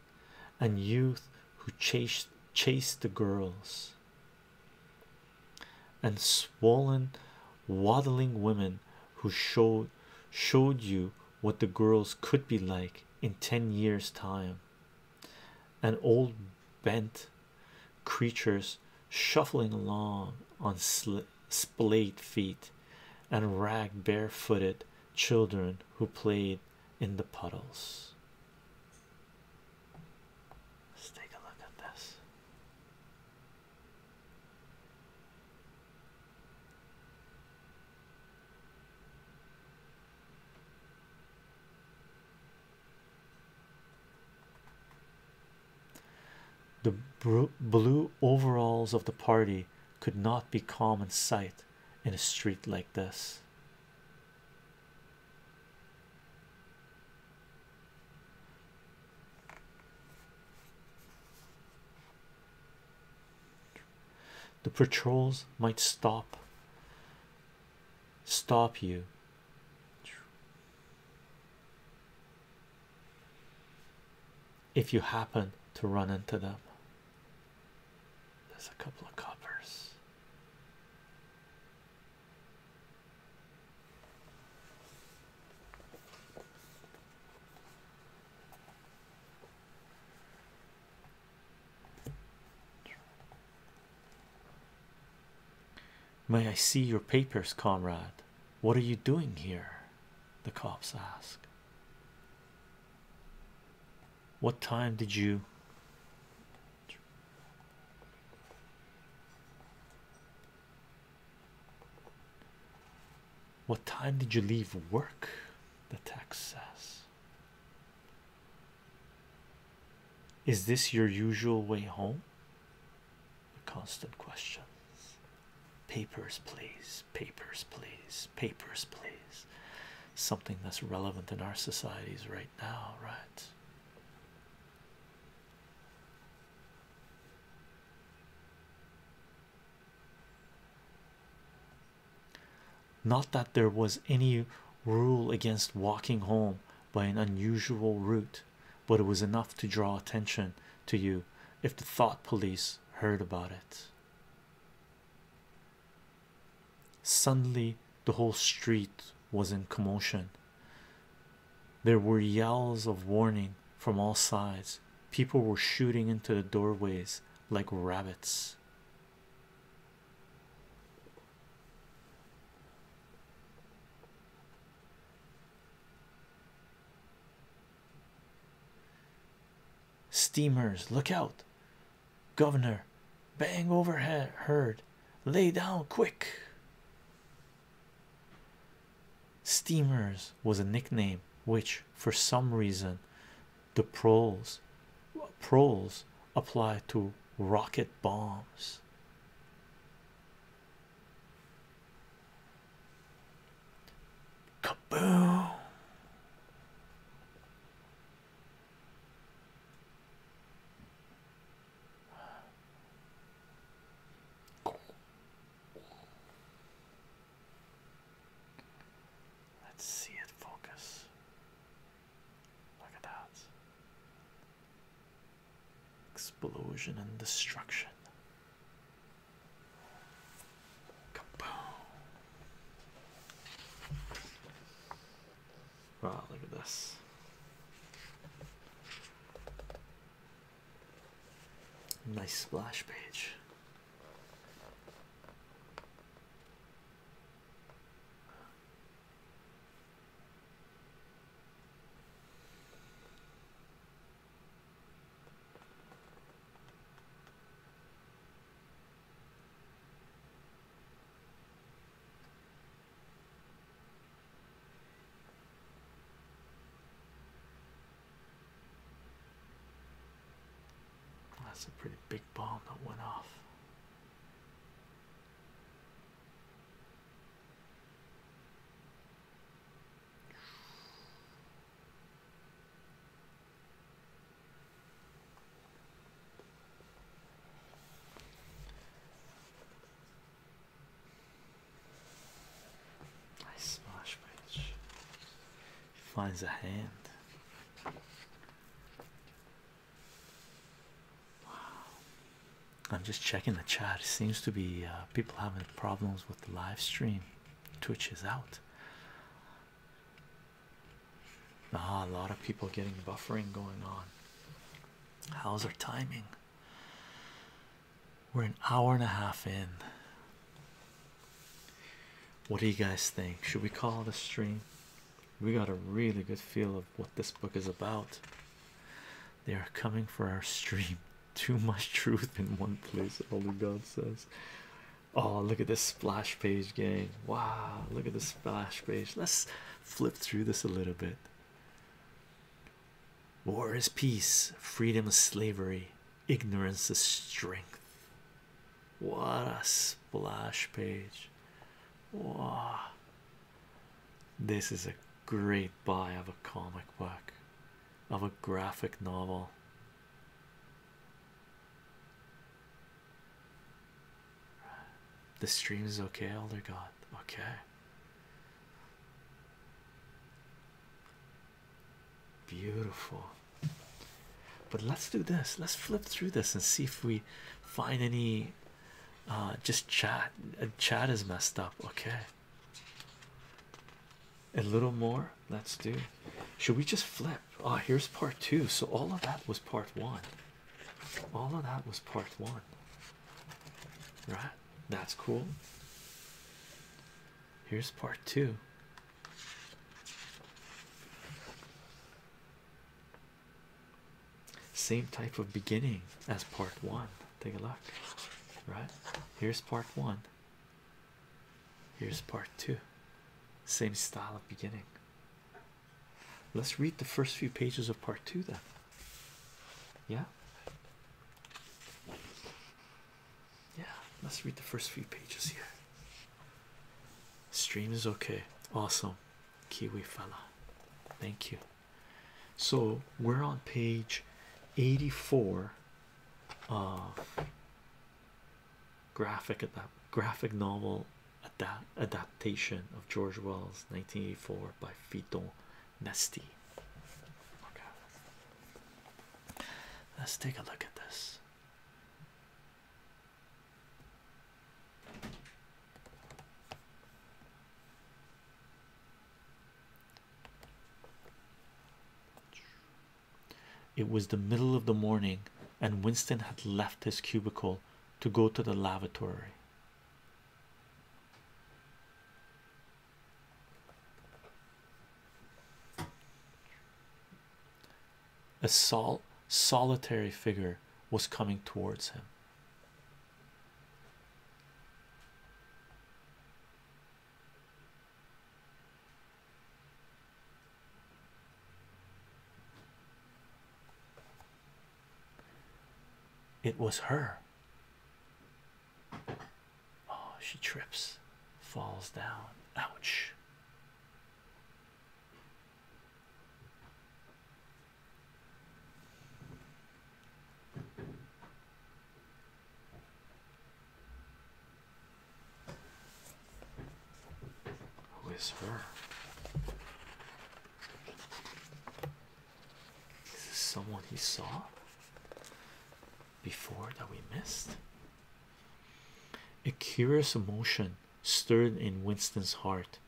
Speaker 1: and youth who chased the girls and swollen waddling women who showed showed you what the girls could be like in 10 years time and old bent creatures shuffling along on splayed feet and rag, barefooted children who played in the puddles let's take a look at this the blue overalls of the party could not be common sight in a street like this. The patrols might stop stop you. If you happen to run into them, there's a couple of coppers. May I see your papers, comrade? What are you doing here? The cops asked. What time did you? What time did you leave work? The text says. Is this your usual way home? The constant questions. Papers, please. Papers, please. Papers, please. Something that's relevant in our societies right now, right? Not that there was any rule against walking home by an unusual route, but it was enough to draw attention to you if the thought police heard about it. Suddenly, the whole street was in commotion. There were yells of warning from all sides. People were shooting into the doorways like rabbits. Steamers, look out! Governor, bang overhead, herd, lay down quick! Steamers was a nickname which, for some reason, the proles, pros applied to rocket bombs. Kaboom! Let's see it focus. Look at that. Explosion and destruction. Kaboom. Wow, look at this. Nice splash page. That's a pretty big bomb that went off. Nice smash page finds a hand. Wow. I'm just checking the chat. It seems to be uh, people having problems with the live stream. Twitch is out. Ah, a lot of people getting buffering going on. How's our timing? We're an hour and a half in. What do you guys think? Should we call the stream? We got a really good feel of what this book is about. They are coming for our stream. Too much truth in one place, Holy God says. Oh, look at this splash page, gang. Wow, look at this splash page. Let's flip through this a little bit. War is peace, freedom is slavery, Ignorance is strength. What a splash page! Wow, this is a great buy of a comic book, of a graphic novel. The stream is okay, Elder God. Okay, Beautiful. But let's do this. Let's flip through this and see if we find any. Uh, just chat. Uh, chat is messed up. Okay. A little more. Let's do. Should we just flip? Oh, here's part two. So all of that was part one. All of that was part one. Right. That's cool. Here's part two. Same type of beginning as part one. Take a look, right? Here's part one, here's part two. Same style of beginning. Let's read the first few pages of part two, then. Yeah. Yeah, let's read the first few pages here. Stream is okay. Awesome. Kiwi fella. Thank you. So we're on page 84 of graphic novel adaptation of George Wells 1984 by Fito Nesti. Let's take a look at this. It was the middle of the morning, and Winston had left his cubicle to go to the lavatory a sol solitary figure was coming towards him. It was her. Oh, she trips, falls down. Ouch. Who is her? Is someone he saw before that we missed? A curious emotion stirred in Winston's heart.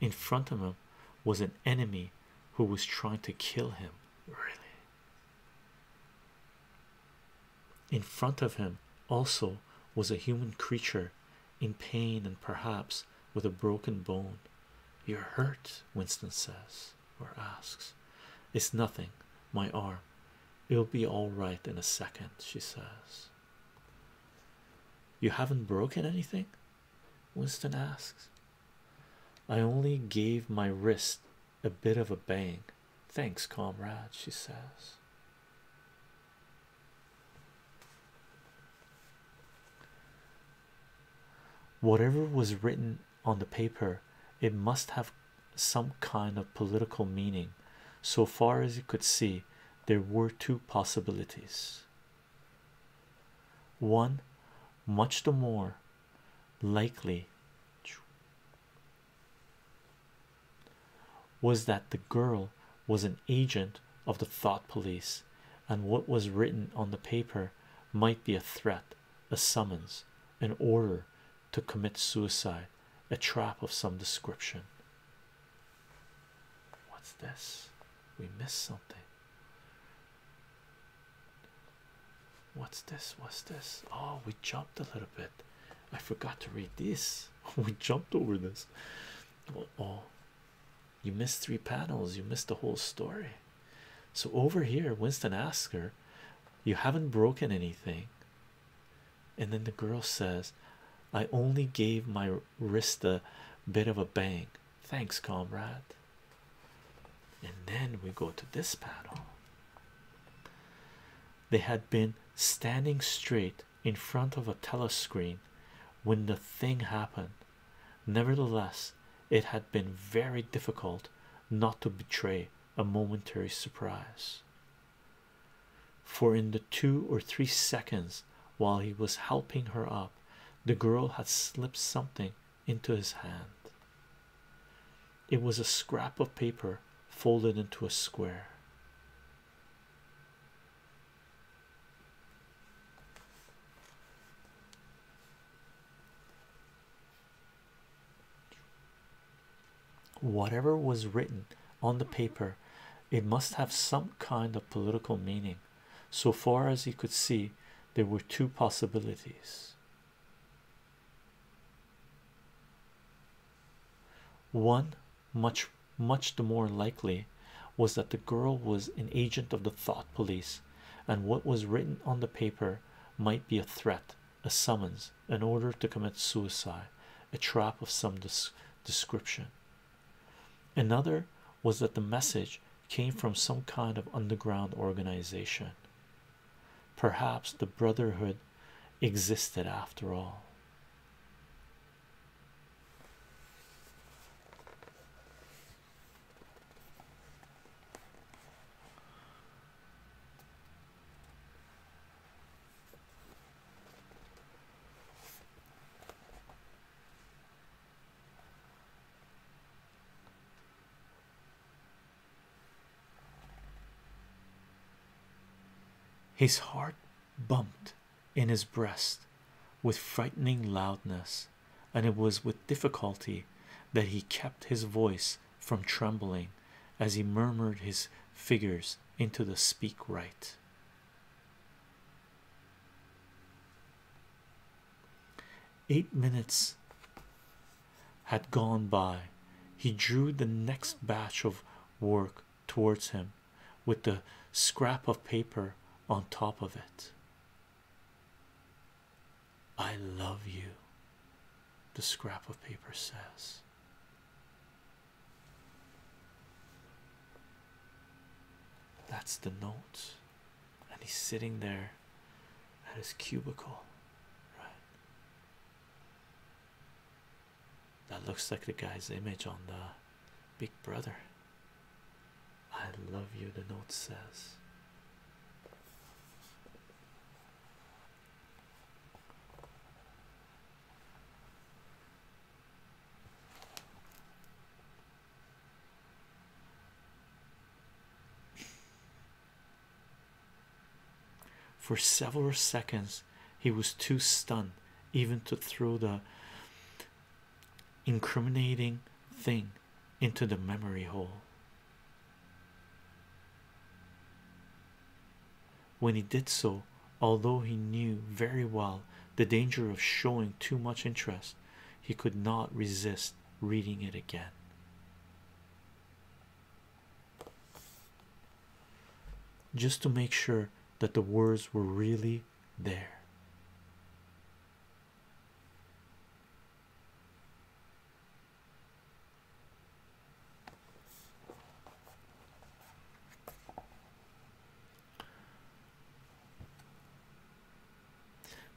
Speaker 1: In front of him was an enemy who was trying to kill him. Really? In front of him also was a human creature in pain and perhaps with a broken bone. You're hurt, Winston says or asks. It's nothing, my arm. It'll be all right in a second, she says. You haven't broken anything? Winston asks. I only gave my wrist a bit of a bang. Thanks, comrade, she says. Whatever was written on the paper, it must have some kind of political meaning. So far as he could see, there were two possibilities. One, much the more likely, was that the girl was an agent of the thought police, and what was written on the paper might be a threat, a summons, an order to commit suicide, a trap of some description. What's this? We missed something. What's this? What's this? Oh, we jumped a little bit. I forgot to read this. we jumped over this. oh, you missed three panels. You missed the whole story. So over here, Winston asks her, "You haven't broken anything. And then the girl says, I only gave my wrist a bit of a bang. Thanks, comrade. And then we go to this panel. They had been standing straight in front of a telescreen when the thing happened. Nevertheless, it had been very difficult not to betray a momentary surprise for in the two or three seconds while he was helping her up, the girl had slipped something into his hand. It was a scrap of paper folded into a square. Whatever was written on the paper, it must have some kind of political meaning. So far as he could see, there were two possibilities. One, much, much the more likely, was that the girl was an agent of the thought police, and what was written on the paper might be a threat a summons, an order to commit suicide, a trap of some description. Another was that the message came from some kind of underground organization. Perhaps the Brotherhood existed after all. His heart bumped in his breast with frightening loudness, and it was with difficulty that he kept his voice from trembling as he murmured his figures into the speak right. Eight minutes had gone by. He drew the next batch of work towards him with the scrap of paper on top of it. I love you, the scrap of paper says. That's the note, and he's sitting there at his cubicle, right? That looks like the guy's image on the Big Brother. I love you, the note says. For several seconds, he was too stunned even to throw the incriminating thing into the memory hole when he did so, although he knew very well the danger of showing too much interest, he could not resist reading it again. Just to make sure that the words were really there.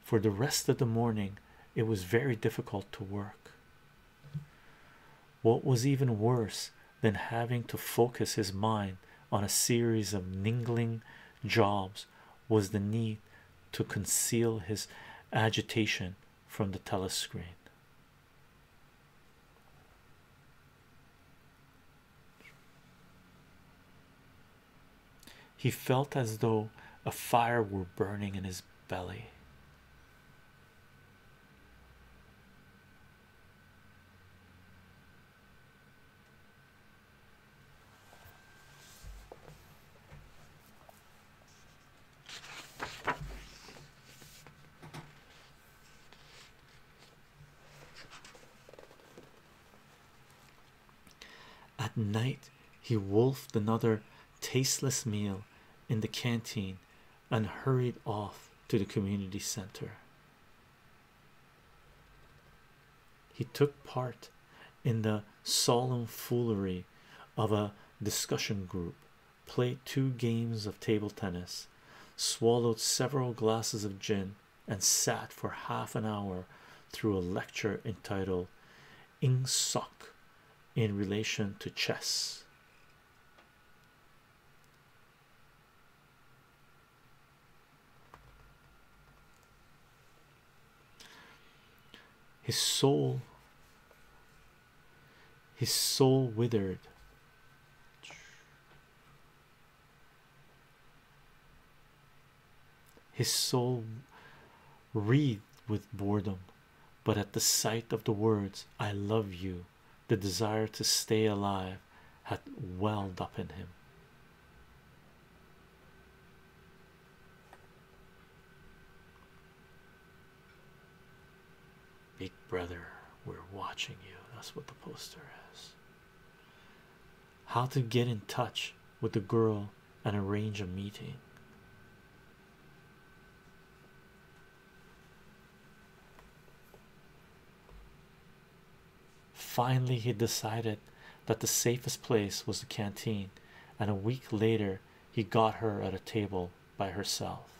Speaker 1: For the rest of the morning, it was very difficult to work. What was even worse than having to focus his mind on a series of niggling jobs was the need to conceal his agitation from the telescreen. He felt as though a fire were burning in his belly. At night, he wolfed another tasteless meal in the canteen and hurried off to the community center. He took part in the solemn foolery of a discussion group played two games of table tennis, swallowed several glasses of gin, and sat for half an hour through a lecture entitled Ing Sok in relation to chess. His soul his soul withered. His soul wreathed with boredom, but at the sight of the words, I love you, the desire to stay alive had welled up in him. Big brother, we're watching you. That's what the poster says. How to get in touch with the girl and arrange a meeting. Finally, he decided that the safest place was the canteen, and a week later, he got her at a table by herself.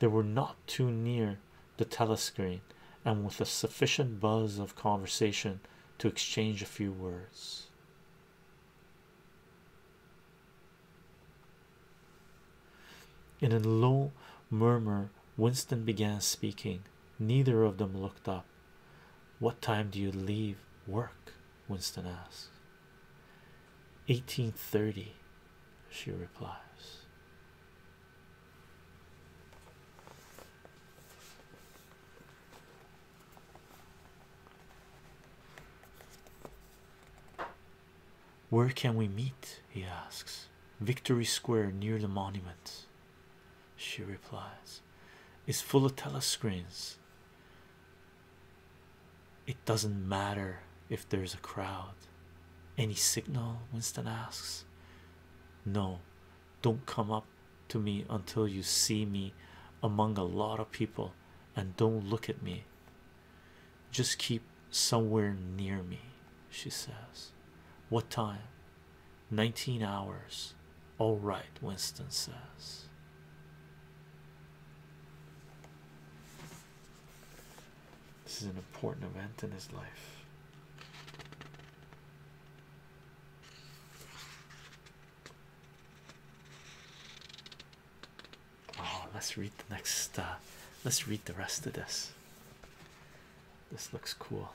Speaker 1: They were not too near the telescreen, and with a sufficient buzz of conversation to exchange a few words. In a low murmur, Winston began speaking. Neither of them looked up. What time do you leave work? Winston asks. 1830, she replies. Where can we meet? He asks. Victory Square near the monument she replies. It's full of telescreens. It doesn't matter if there's a crowd. Any signal? Winston asks. No, don't come up to me until you see me among a lot of people and don't look at me. Just keep somewhere near me, she says. What time? 19 hours. All right, Winston says. This is an important event in his life. Oh, let's read the next. Uh, let's read the rest of this. This looks cool.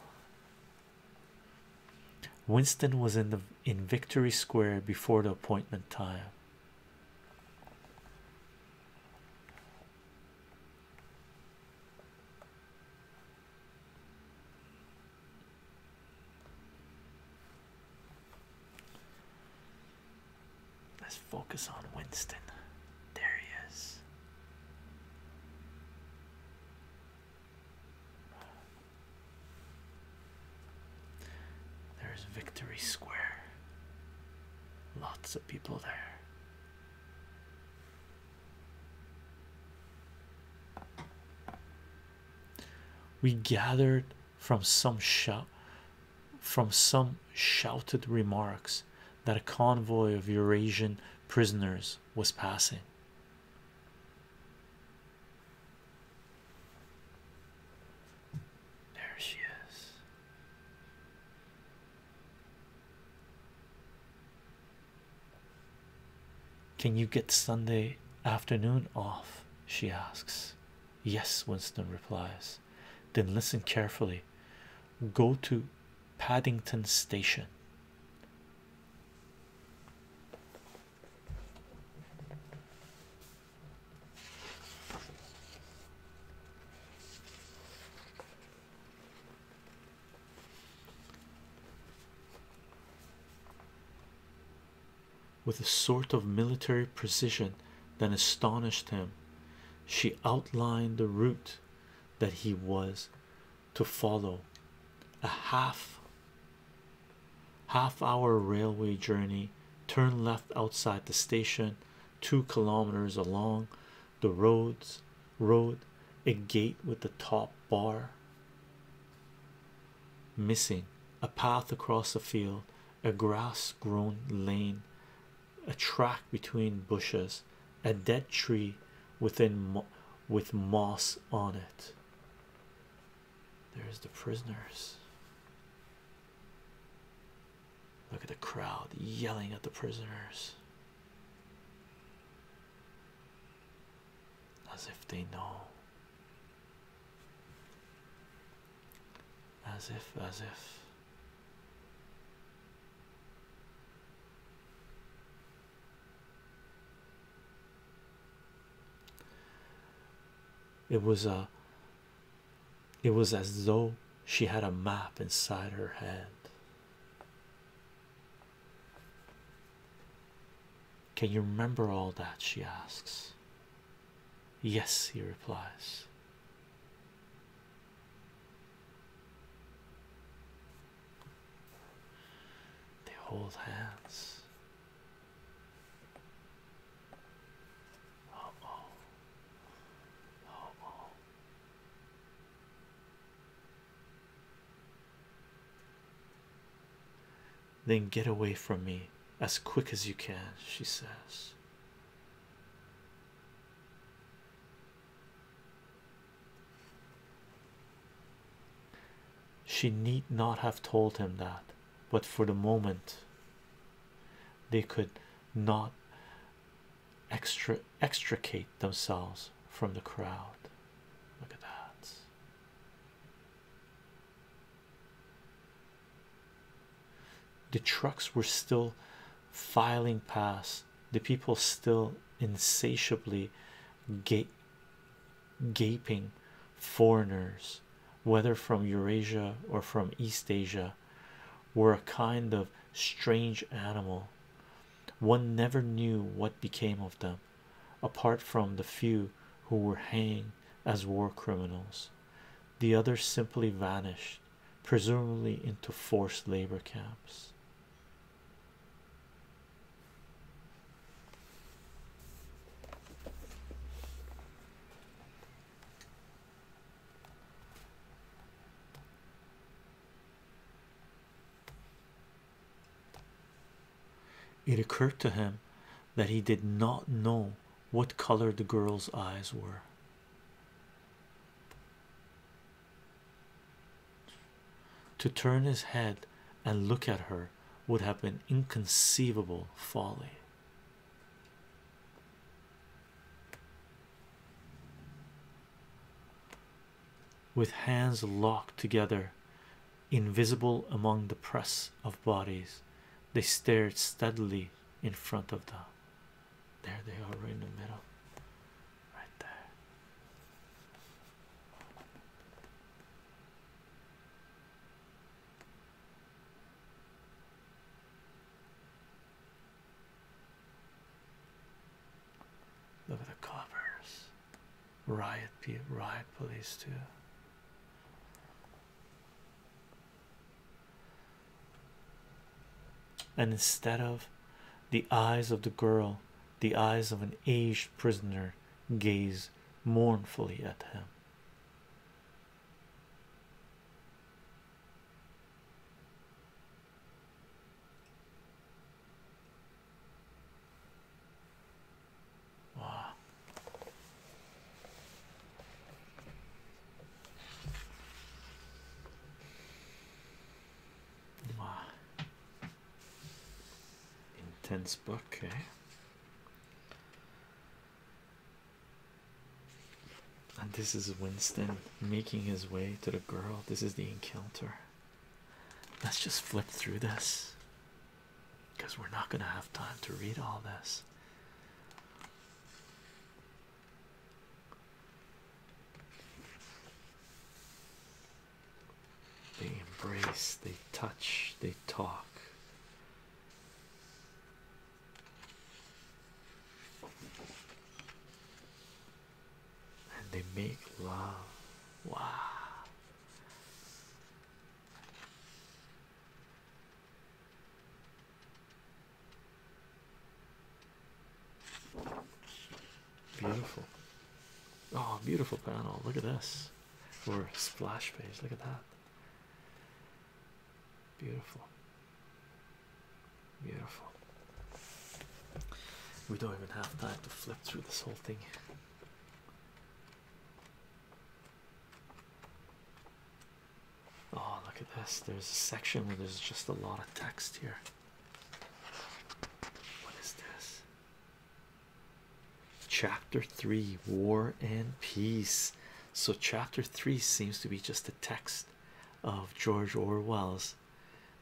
Speaker 1: Winston was in the in Victory Square before the appointment time. Let's focus on Winston. There he is. There's Victory Square. Lots of people there. We gathered from some shout from some shouted remarks that a convoy of Eurasian prisoners was passing. There she is. Can you get Sunday afternoon off? She asks. Yes, Winston replies. Then listen carefully. Go to Paddington Station with a sort of military precision that astonished him she outlined the route that he was to follow a half half hour railway journey turn left outside the station two kilometers along the roads road a gate with the top bar missing a path across a field a grass-grown lane a track between bushes a dead tree within with moss on it there's the prisoners. Look at the crowd yelling at the prisoners as if they know. As if, as if. It was a it was as though she had a map inside her head. Can you remember all that? She asks. Yes, he replies. They hold hands. Then get away from me as quick as you can, she says. She need not have told him that, but for the moment they could not extricate themselves from the crowd. Look at that. The trucks were still filing past, the people still insatiably gaping foreigners, whether from Eurasia or from East Asia, were a kind of strange animal. One never knew what became of them, apart from the few who were hanged as war criminals. The others simply vanished, presumably into forced labor camps. It occurred to him that he did not know what color the girl's eyes were. To turn his head and look at her would have been inconceivable folly. With hands locked together, invisible among the press of bodies, they stared steadily in front of them. There they are, right in the middle, right there. Look at the covers. Riot riot police too. And instead of the eyes of the girl, the eyes of an aged prisoner gaze mournfully at him. Wow. Wow. Intense book, eh? And this is Winston making his way to the girl. This is the encounter. Let's just flip through this because we're not going to have time to read all this. They embrace, they touch, they talk. And they make love. Wow. Beautiful. Oh, beautiful panel. Look at this or splash page. Look at that. Beautiful. Beautiful. We don't even have time to flip through this whole thing. Oh, look at this. There's a section where there's just a lot of text here. What is this? Chapter 3 War and Peace. So, chapter 3 seems to be just a text of George Orwell's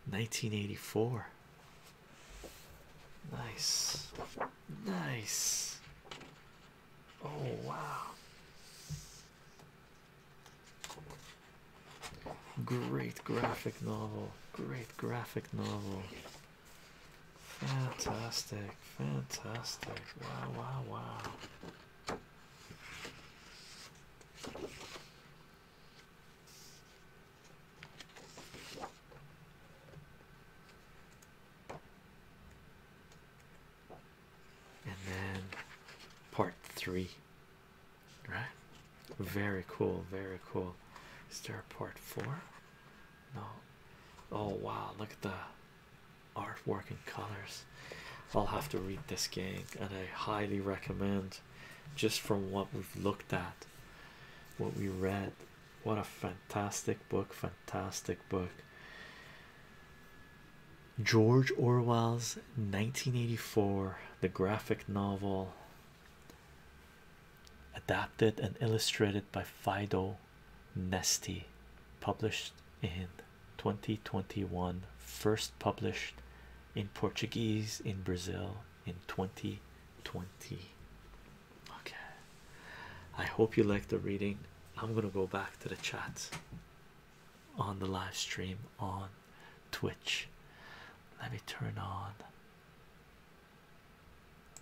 Speaker 1: 1984. Nice, nice. Oh, wow! Great graphic novel, great graphic novel. Fantastic, fantastic. Wow, wow, wow. And then part three, right? Very cool, very cool. Is there part four? no oh wow look at the artwork and colors i'll have to read this game and i highly recommend just from what we've looked at what we read what a fantastic book fantastic book george orwell's 1984 the graphic novel adapted and illustrated by Fido Nesty, published in 2021, first published in Portuguese in Brazil in 2020. Okay, I hope you like the reading. I'm gonna go back to the chat on the live stream on Twitch. Let me turn on